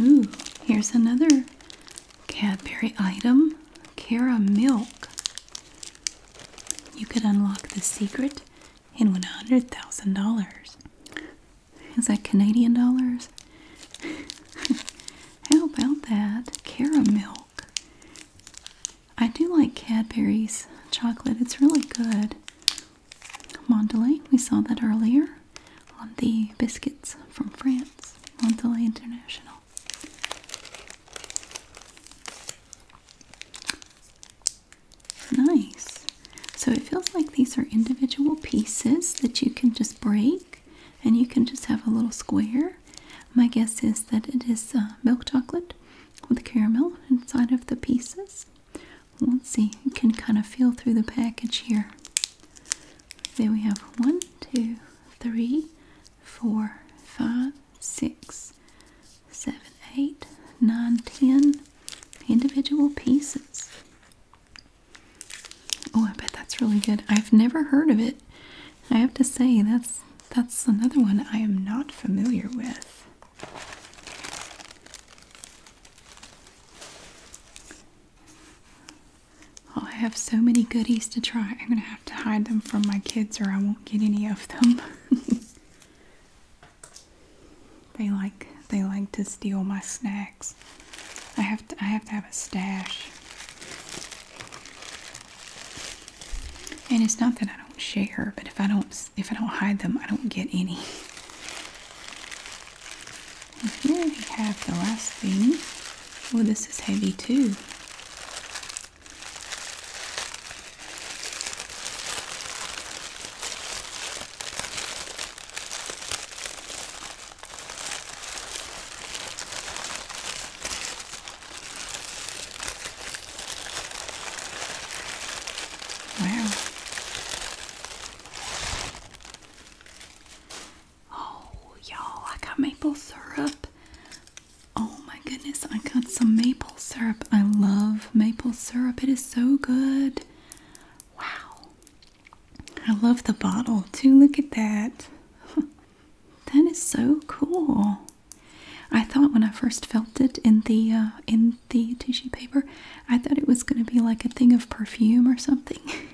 S1: Ooh, here's another Cadbury item Cara Milk. You could unlock the secret in $100,000. Is that Canadian dollars? How about that? Cara Milk. I do like Cadbury's chocolate, it's really good. Mondelez, we saw that earlier on the biscuits from France, Mondelez International. Nice. So it feels like these are individual pieces that you can just break and you can just have a little square. My guess is that it is uh, milk chocolate with caramel inside of the pieces Let's see, you can kind of feel through the package here. There we have one, two, three, four, five, six, seven, eight, nine, ten individual pieces. Oh, I bet that's really good. I've never heard of it. I have to say that's that's another one I am not familiar with. Oh, I have so many goodies to try. I'm going to have to hide them from my kids or I won't get any of them. they like they like to steal my snacks. I have to I have to have a stash. And it's not that I don't share, but if I don't if I don't hide them, I don't get any. And here we have the last thing. Oh, this is heavy too. Wow. Oh, y'all, I got maple syrup. Oh my goodness, I got some maple syrup. I love maple syrup, it is so good. Wow, I love the bottle too. Look at that. that is so cool. I thought when I first felt it in the uh, in the tissue paper, I thought it was going to be like a thing of perfume or something.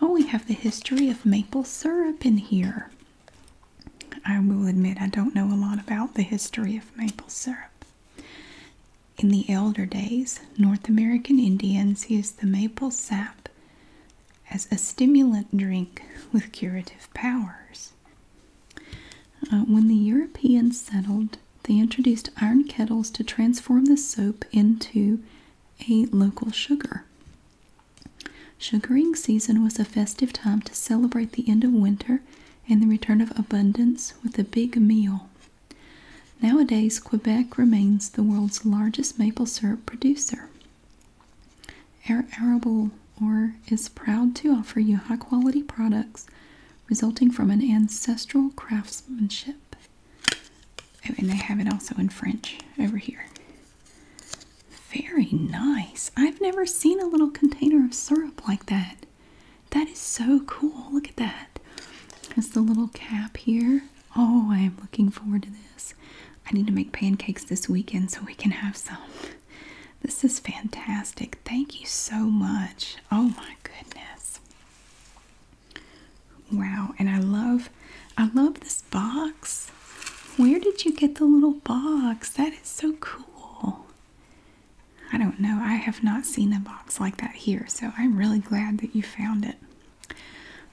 S1: Oh, we have the history of maple syrup in here. I will admit I don't know a lot about the history of maple syrup. In the elder days, North American Indians used the maple sap as a stimulant drink with curative powers. Uh, when the Europeans settled, they introduced iron kettles to transform the sap into a local sugar. Sugaring season was a festive time to celebrate the end of winter and the return of abundance with a big meal. Nowadays, Quebec remains the world's largest maple syrup producer. Air Arable or is proud to offer you high quality products resulting from an ancestral craftsmanship and they have it also in French over here. Very nice. I've never seen a little container of syrup like that. That is so cool. Look at that. There's the little cap here. Oh, I am looking forward to this. I need to make pancakes this weekend so we can have some. This is fantastic. Thank you so much. Oh my goodness. Wow, and I love I love this box. Where did you get the little box? That is so cool. I don't know. I have not seen a box like that here, so I'm really glad that you found it.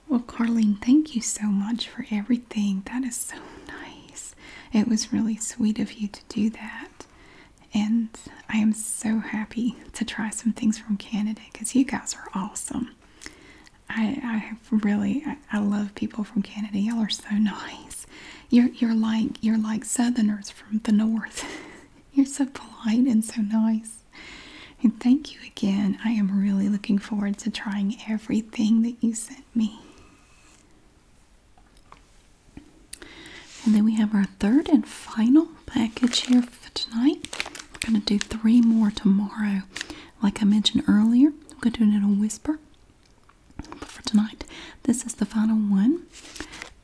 S1: Well, Carlene, thank you so much for everything. That is so nice. It was really sweet of you to do that. And I am so happy to try some things from Canada because you guys are awesome. I, really I, love people from Canada. Y'all are so nice. You're you're like you're like Southerners from the north. you're so polite and so nice. And thank you again. I am really looking forward to trying everything that you sent me. And then we have our third and final package here for tonight. We're going to do three more tomorrow. Like I mentioned earlier, I'm going to do it in whisper. for tonight, this is the final one.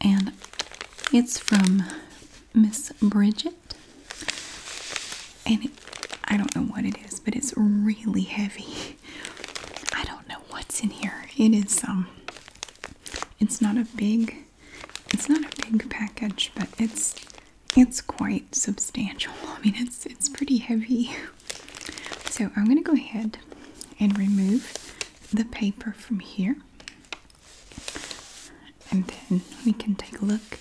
S1: And it's from Miss Bridget. And I don't know what it is, but it's really heavy. I don't know what's in here. It is, um, it's not a big, it's not a big package, but it's it's quite substantial. I mean, it's it's pretty heavy. So I'm going to go ahead and remove the paper from here, and then we can take a look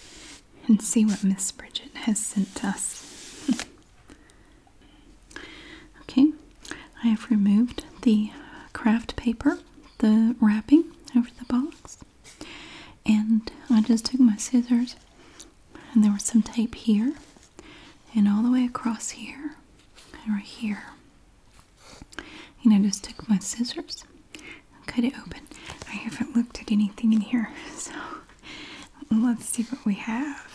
S1: and see what Miss Bridget has sent us. okay, I have removed the craft paper, the wrapping over the box. And I just took my scissors, and there was some tape here, and all the way across here, and right here. And I just took my scissors cut it open. I haven't looked at anything in here, so let's see what we have.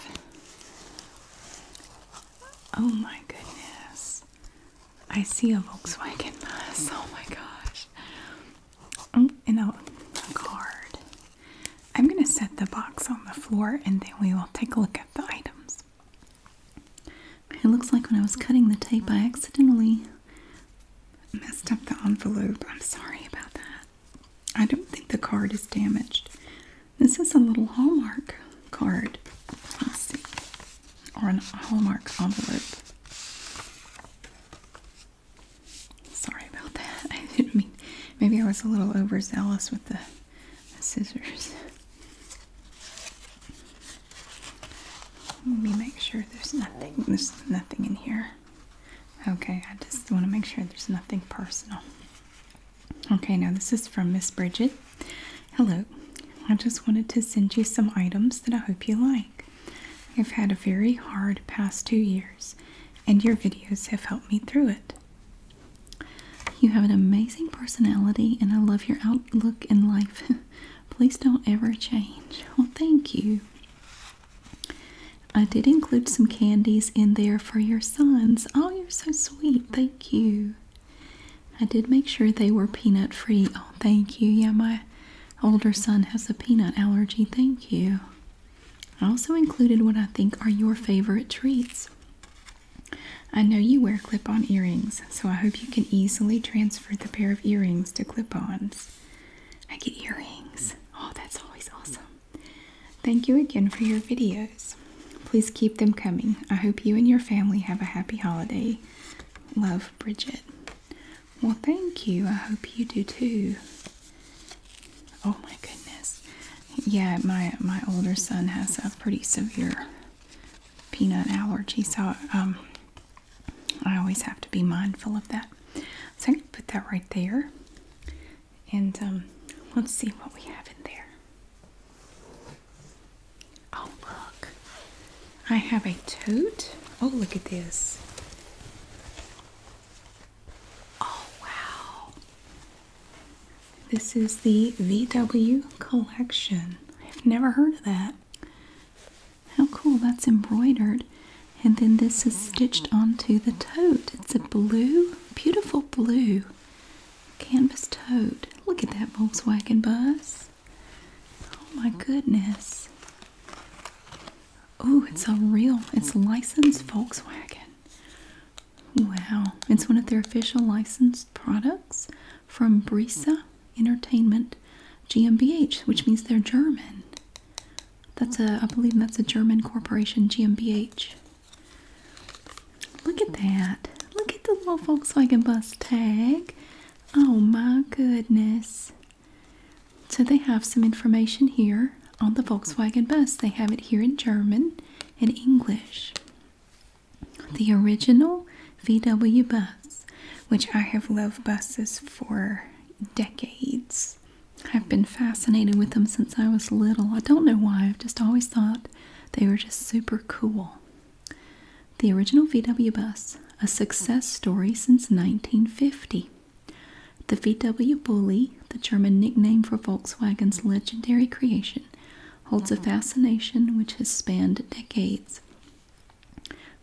S1: Oh my goodness. I see a Volkswagen bus. Oh my gosh. Oh, a, card. I'm going to set the box on the floor and then we will take a look at the items. It looks like when I was cutting the tape, I accidentally messed up the envelope. I'm sorry about that. I don't think the card is damaged. This is a little Hallmark card. Let's see. Or an Hallmark envelope. Sorry about that. I mean, maybe I was a little overzealous with the, the scissors. Let me make sure there's nothing, there's nothing in here. Okay, I just want to make sure there's nothing personal. Okay, now this is from Miss Bridget. Hello. I just wanted to send you some items that I hope you like. Frank. I've had a very hard past two years, and your videos have helped me through it. You have an amazing personality, and I love your outlook in life. Please don't ever change. Well, thank you. I did include some candies in there for your sons. Oh, you're so sweet. Thank you. I did make sure they were peanut free. Oh, thank you. Yama. Older son has a peanut allergy. Thank you. I also included what I think are your favorite treats. I know you wear clip on earrings, so I hope you can easily transfer the pair of earrings to clip ons. I get earrings. Oh, that's always awesome. Thank you again for your videos. Please keep them coming. I hope you and your family have a happy holiday. Love, Bridget. Well, thank you. I hope you do too. Oh my goodness. Yeah, my my older son has a pretty severe peanut allergy, so um, I always have to be mindful of that. So I'm gonna put that right there, and um, let's see what we have in there. Oh look, I have a tote. Oh look at this. Oh wow. This is the VW collection. I've never heard of that. How cool, that's embroidered. And then this is stitched onto the tote. It's a blue, beautiful blue canvas tote. Look at that Volkswagen bus. Oh my goodness. Oh, it's a real, it's licensed Volkswagen. Wow, it's one of their official licensed products from Brisa Entertainment GmbH, which means they're German. That's a, I believe that's a German corporation, GmbH. Look at that. Look at the little Volkswagen bus tag. Oh my goodness. So they have some information here on the Volkswagen bus. They have it here in German and English. The original VW bus, which I have loved buses for decades. I've been fascinated with them since I was little. I don't know why, I've just always thought they were just super cool. The original VW bus, a success story since 1950. The VW Bully, the German nickname for Volkswagen's legendary creation, holds a uh-huh. fascination which has spanned decades,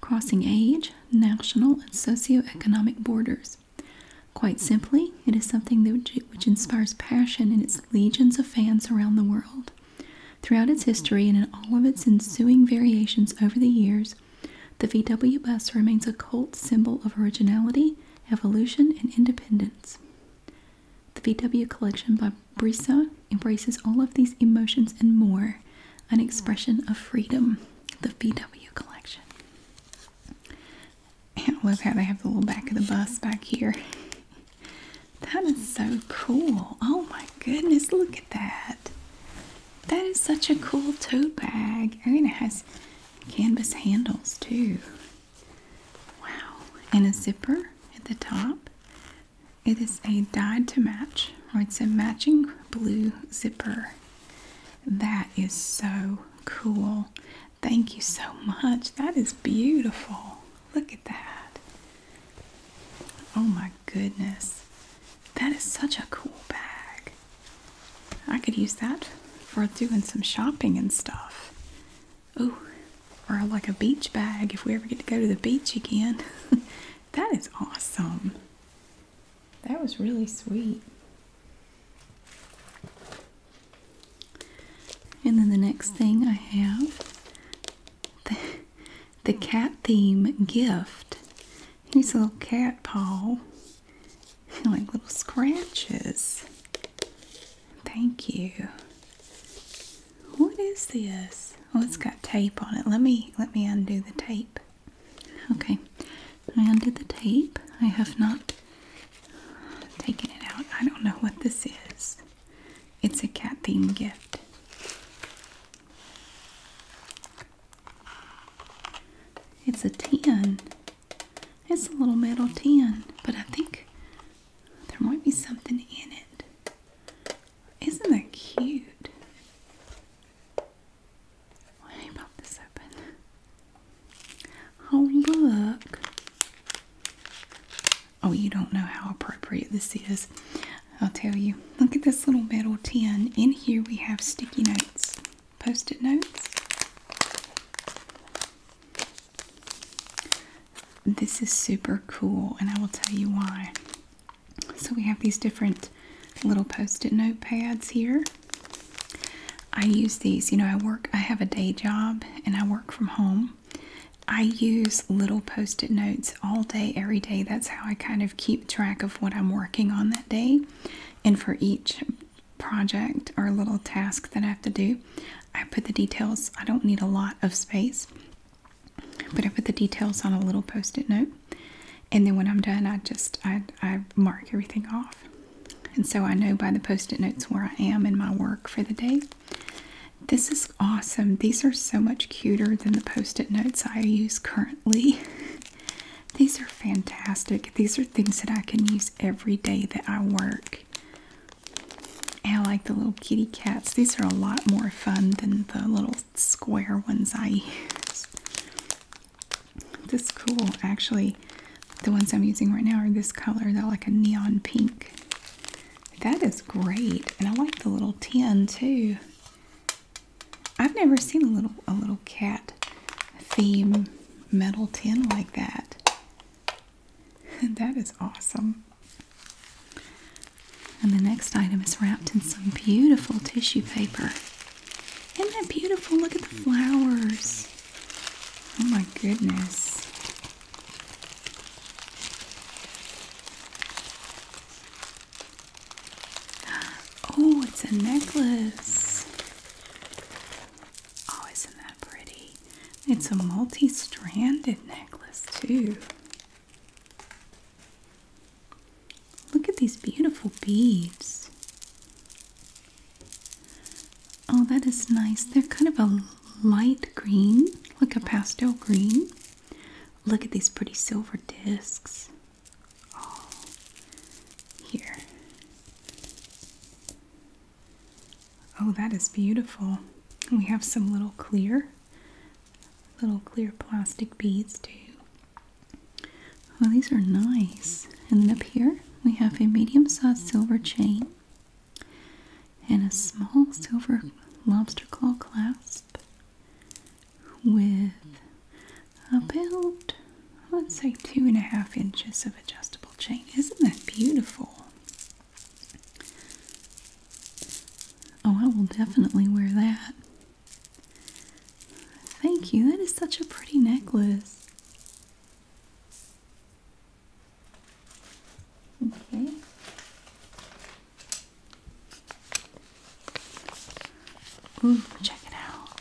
S1: crossing age, national, and socio-economic borders. Quite simply, it is something which uh-huh. inspires passion in its legions of fans around the world. Throughout its history and in all of its ensuing variations over the years, the VW bus remains a cult symbol of originality, evolution, and independence. The VW collection by Brisa embraces all of these emotions and more, an expression of freedom. The VW collection. I love how they have the little back of the bus back here. That is so cool. Oh my goodness, look at that. That is such a cool tote bag. I mean, it has canvas handles too. Wow. And a zipper at the top. It is a dyed to match, or it's a matching blue zipper. That is so cool. Thank you so much. That is beautiful. Look at that. Oh my goodness. That is such a cool bag. I could use that for doing some shopping and stuff. Ooh, or like a beach bag if we ever get to go to the beach again. that is awesome. That was really sweet. And then the next thing I have the, the cat theme gift. Here's a little cat paw like little scratches. Thank you. What is this? Oh, it's got tape on it. Let me let me undo the tape. Okay, I undid the tape. I have not taken it out. I don't know what this is. It's a cat themed gift. It's a 10. It's a little metal 10, but I think there might be something in it. Isn't that cute? Why did pop this open? Oh, look. Oh, you don't know how appropriate this is. I'll tell you. Look at this little metal tin. In here we have sticky notes post-it notes. This is super cool and I will tell you why. So we have these different little post-it note pads here. I use these, you know, I work, I have a day job and I work from home. I use little post it notes all day, every day. That's how I kind of keep track of what I'm working on that day. And for each project or little task that I have to do, I put the details. I don't need a lot of space, but I put the details on a little post-it note. And then when I'm done, I just I, I mark everything off. And so I know by the post-it notes where I am in my work for the day. This is awesome. These are so much cuter than the post-it notes I use currently. These are fantastic. These are things that I can use every day that I work. I like the little kitty cats. These are a lot more fun than the little square ones I use. This is cool. Actually, the ones I'm using right now are this color. They're like a neon pink. That is great. And I like the little tin too. I've never seen a little a little cat theme metal tin like that. that is awesome. And the next item is wrapped in some beautiful tissue paper. Isn't that beautiful? Look at the flowers. Oh my goodness. Oh, it's a necklace. Oh, isn't that pretty? It's a multi stranded necklace, too. Look at these beautiful beads. Oh, that is nice. They're kind of a light green, like a pastel green. Look at these pretty silver discs all oh, here. Oh, that is beautiful. We have some little clear, little clear plastic beads too. Oh, these are nice. And then up here we have a medium-sized silver chain and a small silver lobster claw clasp with about, let's say, two and a half inches of adjustable chain. Isn't that beautiful? Oh, I will definitely wear that. Thank you. That is such a pretty necklace. Okay. check it out.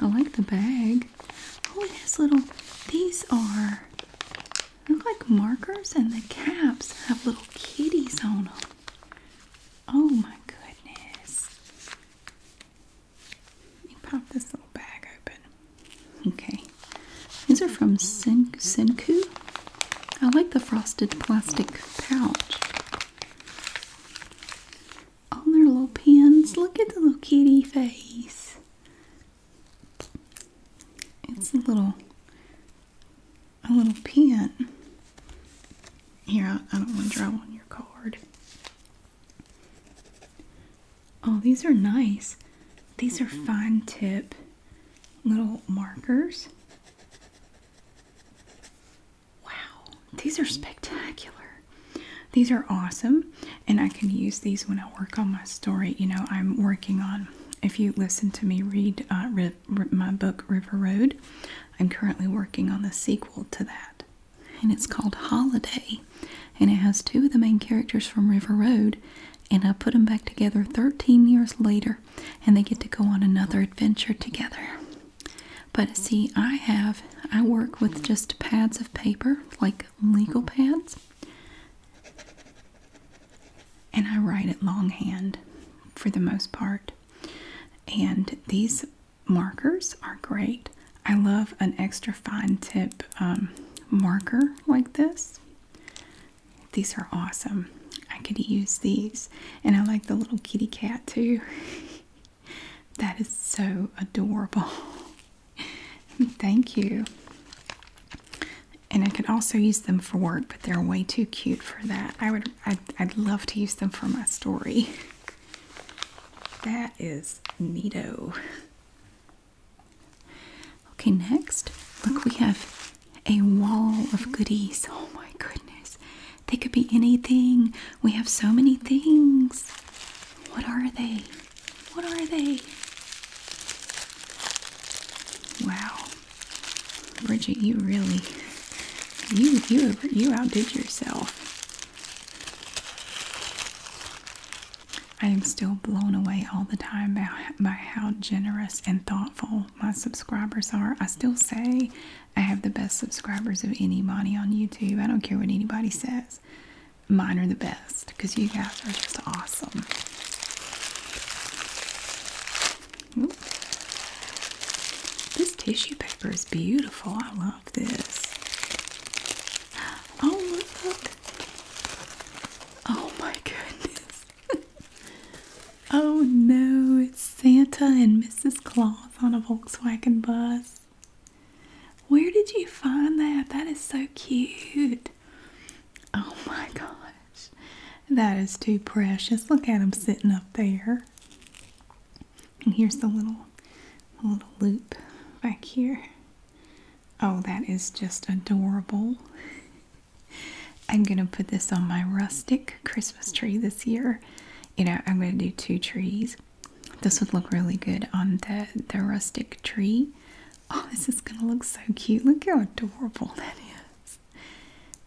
S1: I like the bag. Oh, it little, these are, look like markers and the caps have little kitties on them. Oh my goodness. Let me pop this little bag open. Okay. These are from Sen Senku. I like the frosted plastic pouch. On their little pins. Look at the little kitty face. It's a little, a little pin. Here, I don't want to draw on your card. Oh, these are nice. These are mm-hmm. fine tip little markers. Wow, these are spectacular. These are awesome, and I can use these when I work on my story. You know, I'm working on, if you listen to me read uh, my book River Road, I'm currently working on the sequel to that, and it's called Holiday, and it has two of the main characters from River Road. And I put them back together 13 years later, and they get to go on another adventure together. But see, I have, I work with just pads of paper, like legal pads, and I write it longhand for the most part. And these markers are great. I love an extra fine tip um, marker like this. These are awesome. I could use these. And I like the little kitty cat too. That is so adorable. Thank you. And I could also use them for work, but they're way too cute for that. I would, I'd, I'd love to use them for my story. That is neato. Okay, next, look, we have a wall of goodies. Oh my goodness. They could be anything. We have so many things. What are they? What are they? Wow. Bridget, you really you you you outdid yourself. I am still blown away all the time by, by how generous and thoughtful my subscribers are. I still say I have the best subscribers of anybody on YouTube. I don't care what anybody says. Mine are the best because you guys are just awesome. This tissue paper is beautiful. I love this. Oh, look. look. Oh, my goodness. oh, no. It's Santa and Mrs. Claus on a Volkswagen bus. Where did you find that? That is so cute. Oh my gosh. That is too precious. Look at him sitting up there. And here's the little little loop back here. Oh, that is just adorable. I'm going to put this on my rustic Christmas tree this year. You know, I'm going to do two trees this would look really good on the, the rustic tree. Oh, this is gonna look so cute. Look how adorable that is.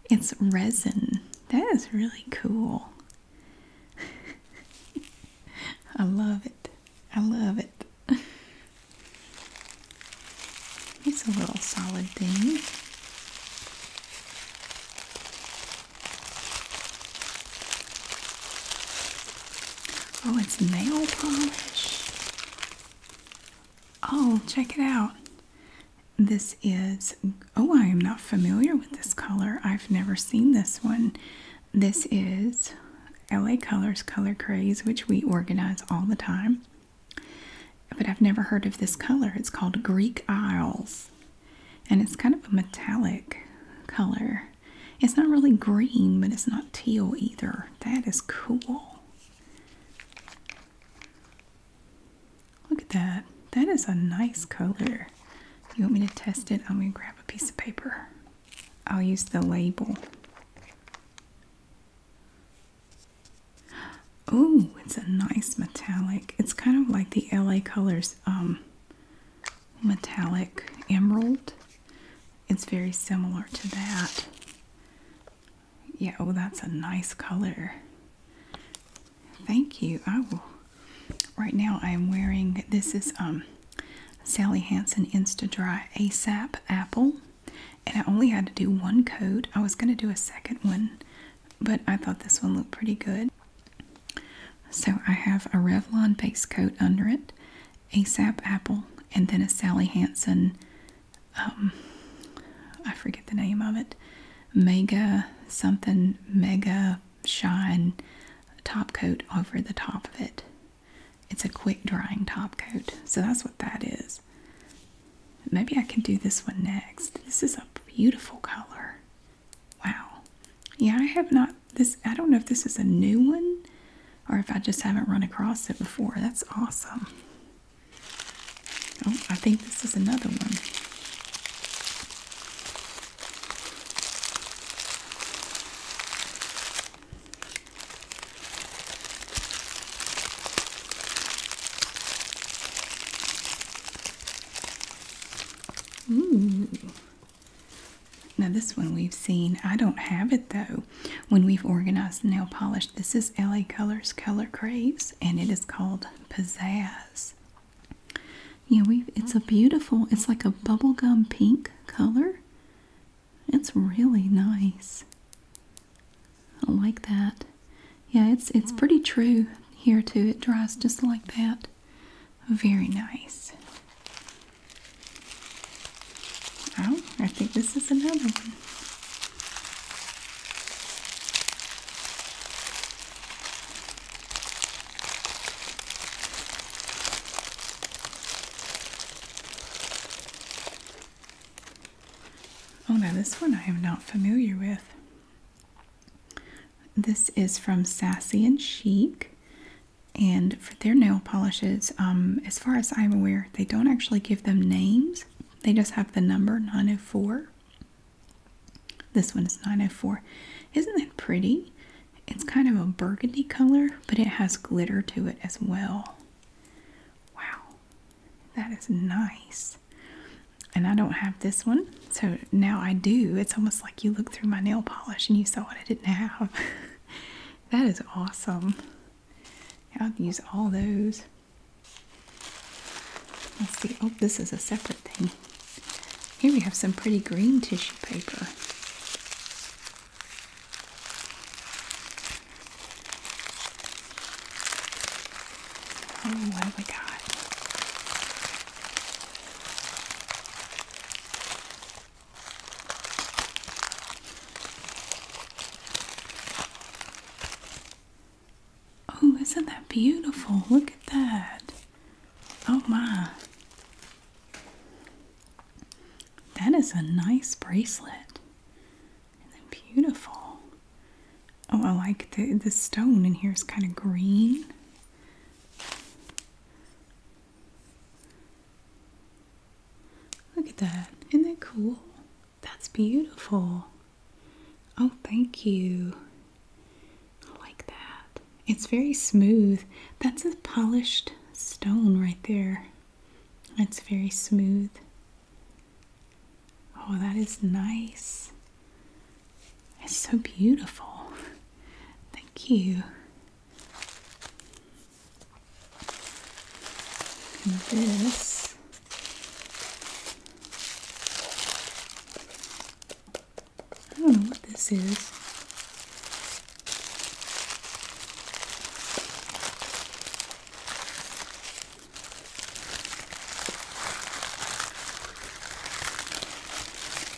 S1: It's resin. That is really cool. I love it. I love it. It's a little solid thing. Oh, it's nail polish. Oh, check it out. This is, oh, I am not familiar with this color. I've never seen this one. This is LA Colors Color Craze, which we organize all the time. But I've never heard of this color. It's called Greek Isles and it's kind of a metallic color. It's not really green, but it's not teal either. That is cool. Look at that. That is a nice color. You want me to test it? I'm going to grab a piece of paper. I'll use the label. Oh, it's a nice metallic. It's kind of like the LA Colors um, metallic emerald. It's very similar to that. Yeah, oh, that's a nice color. Thank you. I will. Right now, I am wearing this is um Sally Hansen Insta Dry ASAP Apple, and I only had to do one coat. I was going to do a second one, but I thought this one looked pretty good. So I have a Revlon base coat under it, ASAP Apple, and then a Sally Hansen, um, I forget the name of it, Mega something, Mega Shine top coat over the top of it. It's a quick drying top coat, so that's what that is. Maybe I can do this one next. This is a beautiful color. Wow. Yeah, I have not this I don't know if this is a new one or if I just haven't run across it before. That's awesome. Oh, I think this is another one. Ooh. Now this one we've seen. I don't have it though. When we've organized nail polish, this is LA Colors Color Craze, and it is called Pizzazz. Yeah, we it's a beautiful. It's like a bubblegum pink color. It's really nice. I like that. Yeah, it's it's mm. pretty true here too. It dries just like that. Very nice. Oh, I think this is another one. Oh, now this one I am not familiar with. This is from Sassy and Chic. And for their nail polishes, um, as far as I'm aware, they don't actually give them names. They just have the number 904. This one is 904. Isn't that pretty? It's kind of a burgundy color, but it has glitter to it as well. Wow, that is nice. And I don't have this one, so now I do. It's almost like you look through my nail polish and you saw what I didn't have. that is awesome. I'll use all those. Let's see. Oh, this is a separate thing. Here we have some pretty green tissue paper. Oh, what have we got? Oh, isn't that beautiful? Look at that. Oh my. That is a nice bracelet. And then beautiful. Oh, I like the the stone in here is kind of green. Look at that. Isn't that cool? That's beautiful. Oh, thank you. I like that. It's very smooth. That's a polished stone right there. It's very smooth. Oh, that is nice. It's so beautiful. Thank you. And this I don't know what this is.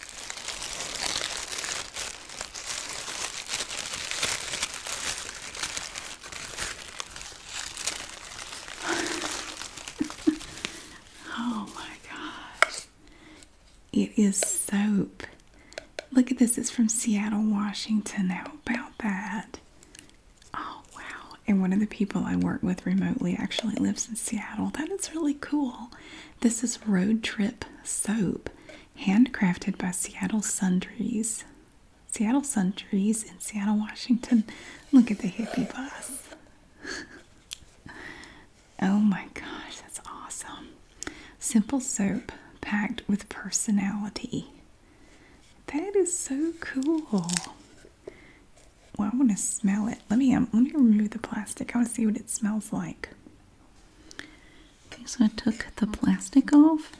S1: oh my gosh. It is soap. Look at this. It's from Seattle, Washington. How about that? Oh, wow. And one of the people I work with remotely actually lives in Seattle. That is really cool. This is Road Trip Soap, handcrafted by Seattle Sundries. Seattle Sundries in Seattle, Washington. Look at the hippie bus. oh my gosh, that's awesome. Simple soap packed with personality. That is so cool. Well, I want to smell it. Let me um, let me remove the plastic. I want to see what it smells like so I took the plastic off.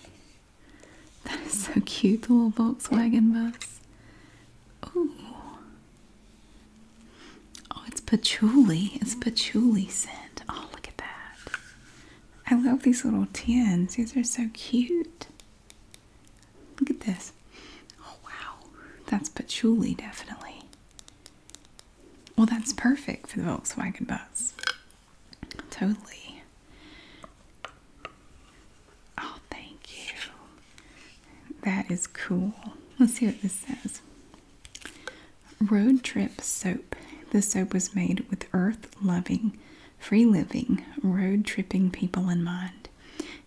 S1: That is so cute, the little Volkswagen bus. Ooh. Oh, it's patchouli. It's patchouli scent. Oh, look at that. I love these little tins. These are so cute. Look at this. Oh, wow. That's patchouli, definitely. Well, that's perfect for the Volkswagen bus. Totally. Oh, thank you. That is cool. Let's see what this says. Road trip soap. This soap was made with earth loving, free living, road tripping people in mind.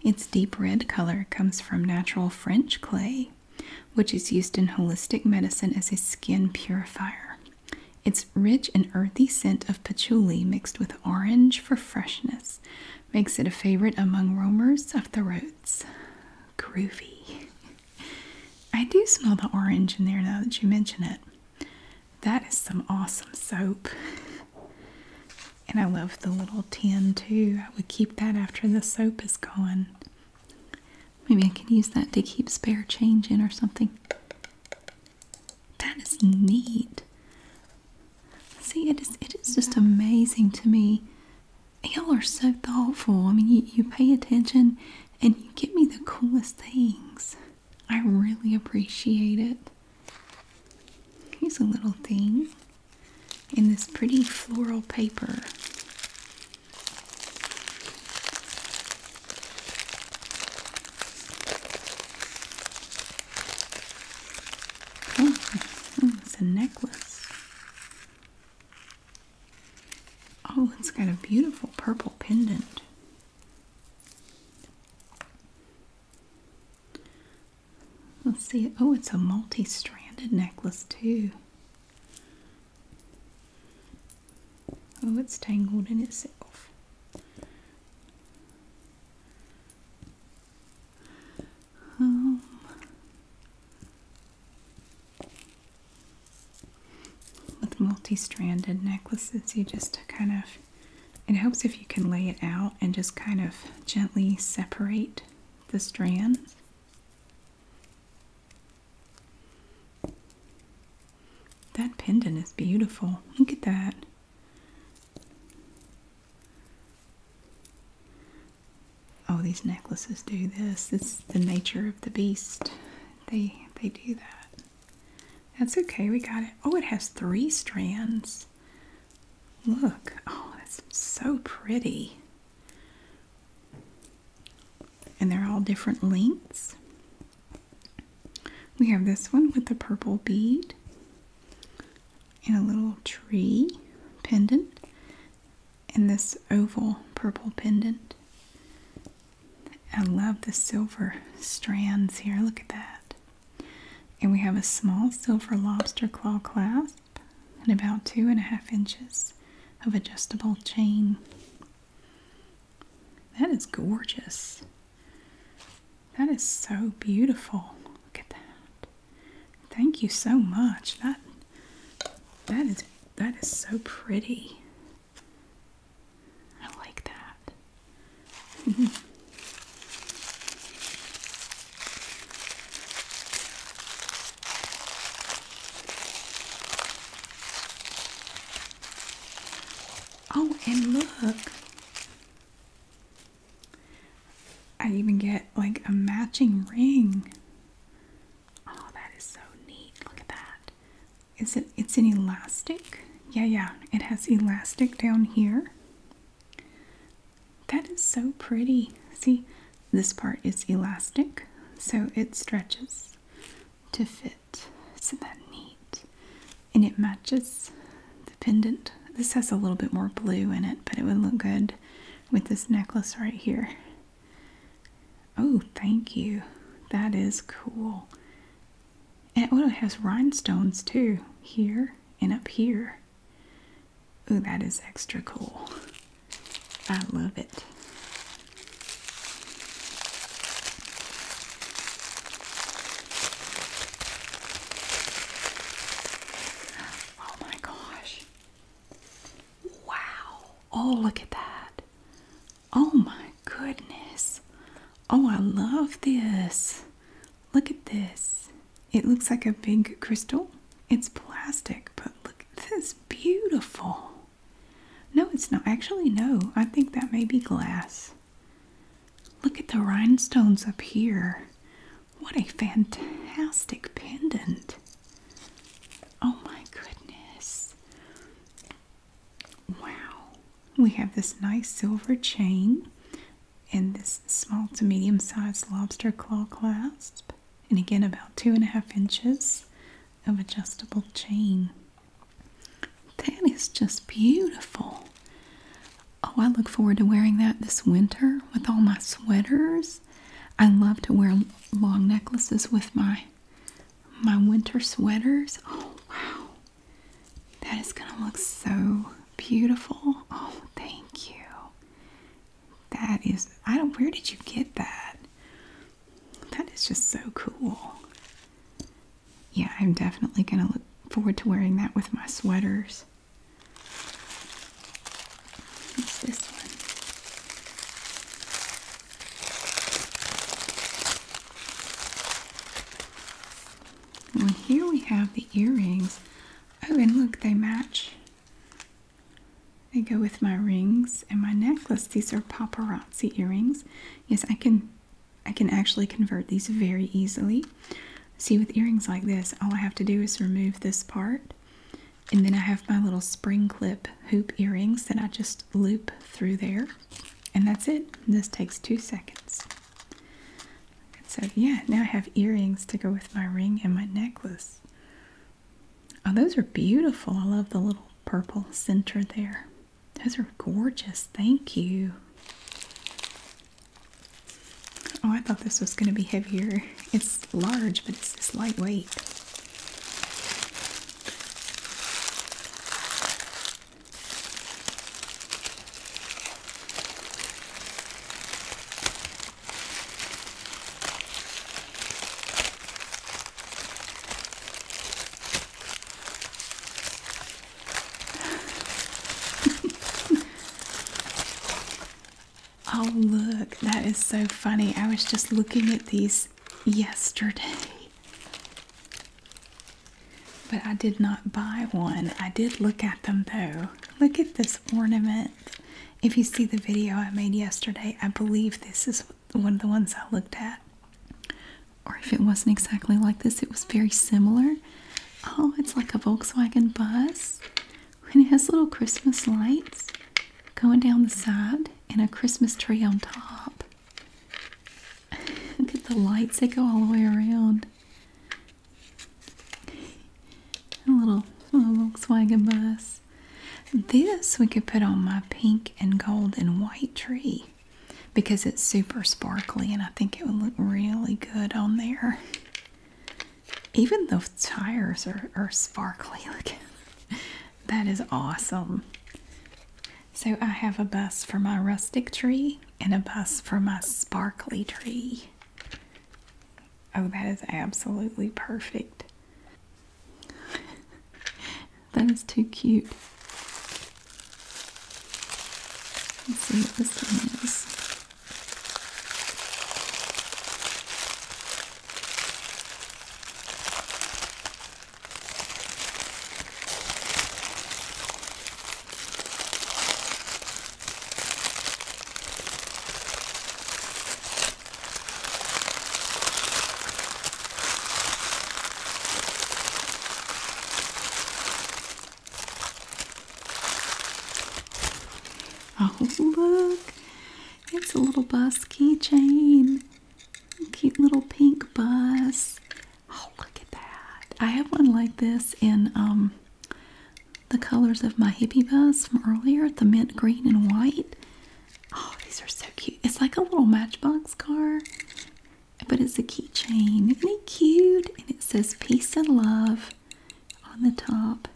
S1: Its deep red color comes from natural French clay which is used in holistic medicine as a skin purifier. Its rich and earthy scent of patchouli mixed with orange for freshness makes it a favorite among roamers of the roads. Groovy. I do smell the orange in there now that you mention it. That is some awesome soap. And I love the little tin too. I would keep that after the soap is gone. Maybe I can use that to keep spare change in or something. That is neat. See, it is it is just amazing to me. Y'all are so thoughtful. I mean, you, you pay attention and you give me the coolest things. I really appreciate it. Here's a little thing in this pretty floral paper. Oh, it's a necklace. Oh, it's got a beautiful purple pendant. Let's see. Oh, it's a multi stranded necklace, too. Oh, it's tangled in itself. Um, with multi-stranded necklaces, you just kind of, it helps if you can lay it out and just kind of gently separate the strands. That pendant is beautiful. Look at that. Oh, these necklaces do this. It's the nature of the beast. They they do that. That's okay. We got it. Oh, it has three strands. Look. Oh, that's so pretty and they're all different lengths. We have this one with the purple bead and a little tree pendant and this oval purple pendant. I love the silver strands here. Look at that. And we have a small silver lobster claw clasp and about two and a half inches of adjustable chain. That is gorgeous. That is so beautiful. Look at that. Thank you so much. That that is that is so pretty. I like that. Oh, and look. I even get like a matching ring. Oh, that is so neat. Look at that. Is it it's an elastic? Yeah, yeah. It has elastic down here. That is so pretty. See, this part is elastic, so it stretches to fit. Isn't that neat? And it matches the pendant. This has a little bit more blue in it, but it would look good with this necklace right here. Oh, thank you. That is cool. And oh, it also has rhinestones too, here and up here. Oh, that is extra cool. I love it. Oh my gosh. Wow. Oh, look at that. Oh my goodness. Oh, I love this. Look at this. It looks like a big crystal. It's plastic, but look at this. Beautiful. No, it's not. Actually, no. I think that may be glass. Look at the rhinestones up here. What a fantastic pendant. Oh my goodness. Wow. We have this nice silver chain and this small to medium sized lobster claw clasp and again about two and a half inches of adjustable chain. That is just beautiful. Oh, I look forward to wearing that this winter with all my sweaters. I love to wear long necklaces with my my winter sweaters. Oh, wow. That is going to look so beautiful. Oh, thank you. That is I don't where did you get that? That is just so cool. Yeah, I'm definitely going to look forward to wearing that with my sweaters. this one? Well, here we have the earrings. Oh, and look, they match they go with my rings and my necklace. These are paparazzi earrings. Yes, I can I can actually convert these very easily. See, with earrings like this, all I have to do is remove this part. And then I have my little spring clip hoop earrings that I just loop through there. And that's it. This takes two seconds. So yeah, now I have earrings to go with my ring and my necklace. Oh, those are beautiful. I love the little purple center there. Those are gorgeous. Thank you. Oh, I thought this was going to be heavier. It's large, but it's this lightweight. oh, look, that is so funny. I was just looking at these yesterday, but I did not buy one. I did look at them though. Look at this ornament. If you see the video I made yesterday, I believe this is one of the ones I looked at. Or if it wasn't exactly like this, it was very similar. Oh, it's like a Volkswagen bus. And it has little Christmas lights going down the side and a Christmas tree on top. Look at the lights, they go all the way around. A little, Volkswagen bus. This we could put on my pink and gold and white tree because it's super sparkly and I think it would look really good on there. Even the tires are, are sparkly looking. that is awesome. So I have a bus for my rustic tree and a bus for my sparkly tree. Oh, that is absolutely perfect. that is too cute. Let's see what this one is. Oh, look, it's a little bus keychain. Cute little pink bus. Oh, look at that. I have one like this in um, the colors of my hippie bus from earlier the mint green and white. Oh, these are so cute. It's like a little matchbox car, but it's a keychain. Isn't it cute? And it says peace and love on the top.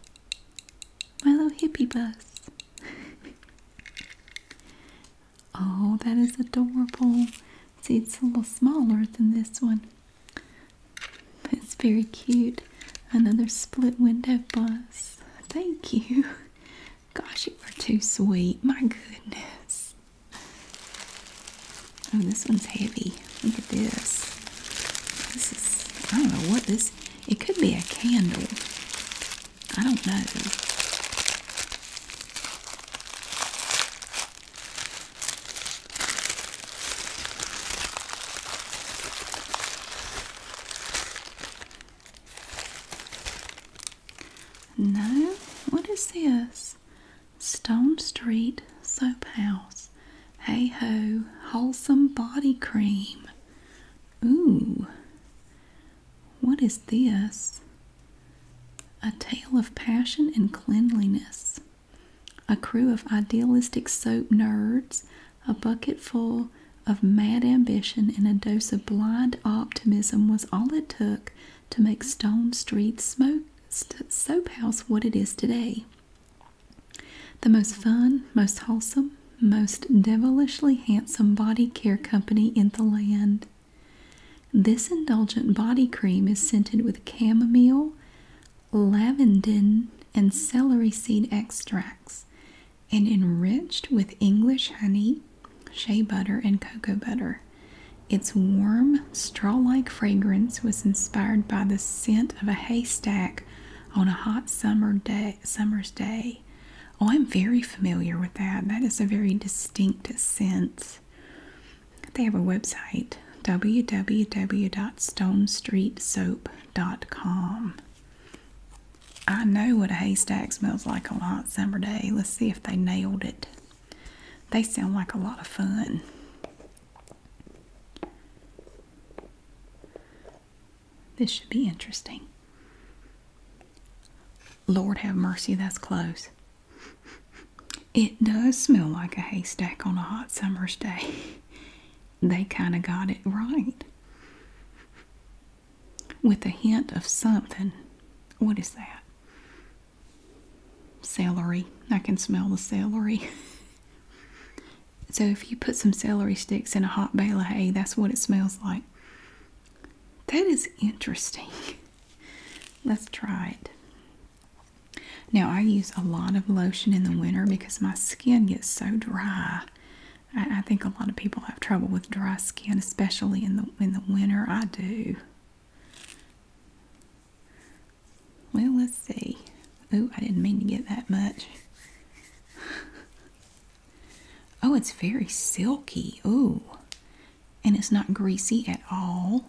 S1: My little hippie bus. oh, that is adorable. See, it's a little smaller than this one. It's very cute. Another split window bus. Thank you. Gosh, you are too sweet. My goodness. Oh, this one's heavy. Look at this. This is, I don't know what this, it could be a candle. I don't know. No? What is this? Stone Street Soap House. Hey ho, wholesome body cream. Ooh. What is this? A tale of passion and cleanliness. A crew of idealistic soap nerds, a bucketful of mad ambition and a dose of blind optimism was all it took to make Stone Street's smoke, Soap House what it is today. The most fun, most wholesome, most devilishly handsome body care company in the land. This indulgent body cream is scented with chamomile, lavender, and celery seed extracts and enriched with English honey, shea butter, and cocoa butter. Its warm, straw like fragrance was inspired by the scent of a haystack on a hot summer's day. Oh, I'm very familiar with that. That is a very distinct scent. They have a website www.stonestreetsoap.com. I know what a haystack smells like on a hot summer day. Let's see if they nailed it. They sound like a lot of fun. This should be interesting. Lord have mercy, that's close. It does smell like a haystack on a hot summer's day. They kind of got it right with a hint of something. What is that? Celery. I can smell the celery. so if you put some celery sticks in a hot bale of hay, that's what it smells like. That is interesting. Let's try it. Now, I use a lot of lotion in the winter because my skin gets so dry. I, think a lot of people have trouble with dry skin, especially in the in the winter. I do. Well, let's see. Oh, I didn't mean to get that much. oh, it's very silky. Oh, and it's not greasy at all.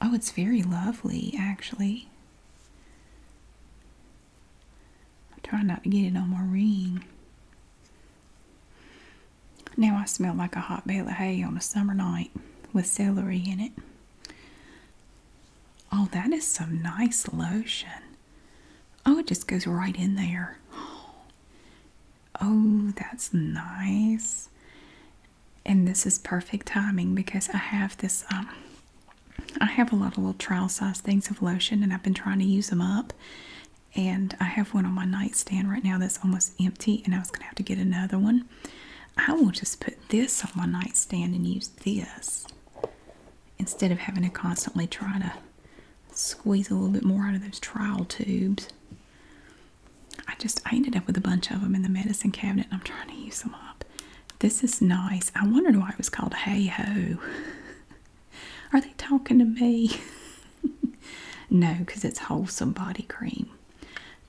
S1: Oh, it's very lovely, actually. I'm trying not to get it on my ring. Now I smell like a hot bale of hay on a summer night with celery in it. Oh, that is some nice lotion. Oh, it just goes right in there. Oh, that's nice. And this is perfect timing because I have this, um, I have a lot of little trial size things of lotion and I've been trying to use them up and I have one on my nightstand right now that's almost empty, and I was gonna have to get another one. I will just put this on my nightstand and use this instead of having to constantly try to squeeze a little bit more out of those trial tubes. I just I ended up with a bunch of them in the medicine cabinet, and I'm trying to use them up. This is nice. I wondered why it was called Hey Ho. Are they talking to me? no, because it's wholesome body cream.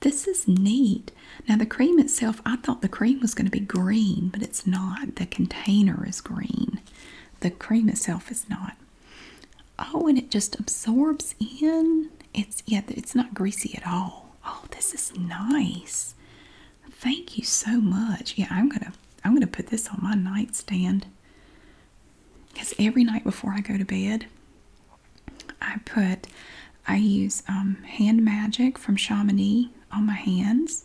S1: This is neat. Now, the cream itself, I thought the cream was going to be green, but it's not. The container is green, the cream itself is not. Oh, and it just absorbs in. It's yeah, it's not greasy at all. Oh, this is nice. Thank you so much. Yeah, I'm gonna I'm going to put this on my nightstand because every night before I go to bed, I put, I use um, hand magic from Chamonix on my hands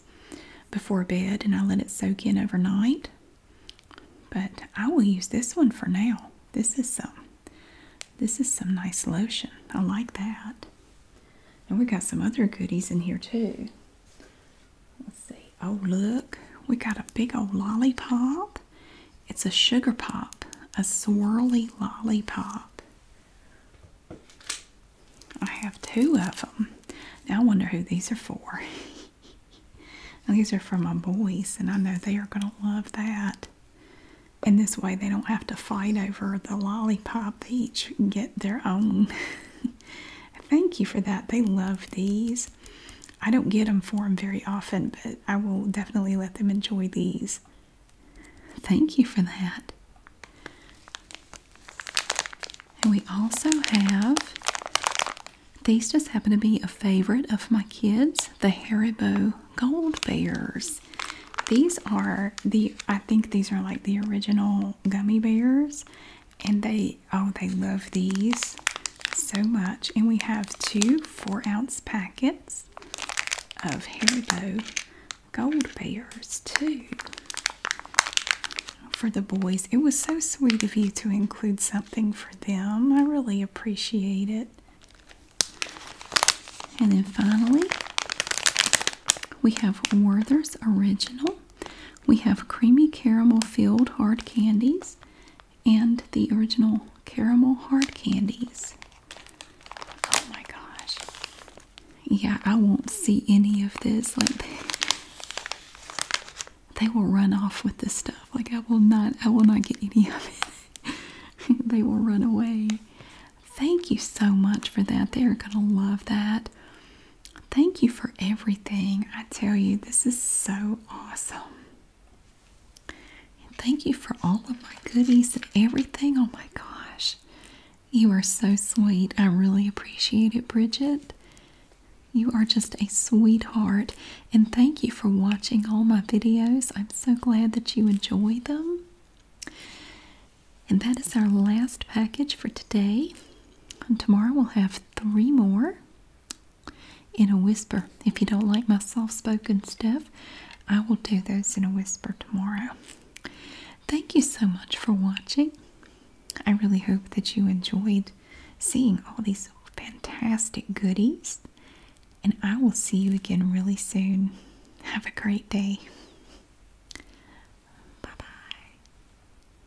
S1: before bed and I let it soak in overnight. But I will use this one for now. This is some, this is some nice lotion. I like that. And we got some other goodies in here too. Let's see. Oh, look, we got a big old lollipop. It's a sugar pop, a swirly lollipop. I have two of them. Now I wonder who these are for. these are for my boys, and I know they are going to love that. And this way, they don't have to fight over the lollipop. They each get their own. Thank you for that. They love these. I don't get them for them very often, but I will definitely let them enjoy these. Thank you for that. And we also have these just happen to be a favorite of my kids, the Haribo Gold Bears. These are the, I think these are like the original gummy bears, and they oh they love these so much and we have two four ounce packets of haribo gold bears too for the boys it was so sweet of you to include something for them i really appreciate it and then finally we have werther's original we have creamy caramel filled hard candies and the original caramel hard candies. Oh my gosh. Yeah, I won't see any of this. Like they, they will run off with this stuff. Like I will not I will not get any of it. they will run away. Thank you so much for that. They're gonna love that. Thank you for everything. I tell you, this is so awesome. thank you for all of my goodies and everything. Oh my gosh. You are so sweet. I really appreciate it, Bridget. You are just a sweetheart. And thank you for watching all my videos. I'm so glad that you enjoy them. And that is our last package for today. And tomorrow we'll have three more in a whisper. If you don't like my soft spoken stuff, I will do those in a whisper tomorrow. Thank you so much for watching. I really hope that you enjoyed seeing all these fantastic goodies. And I will see you again really soon. Have a great day. Bye bye.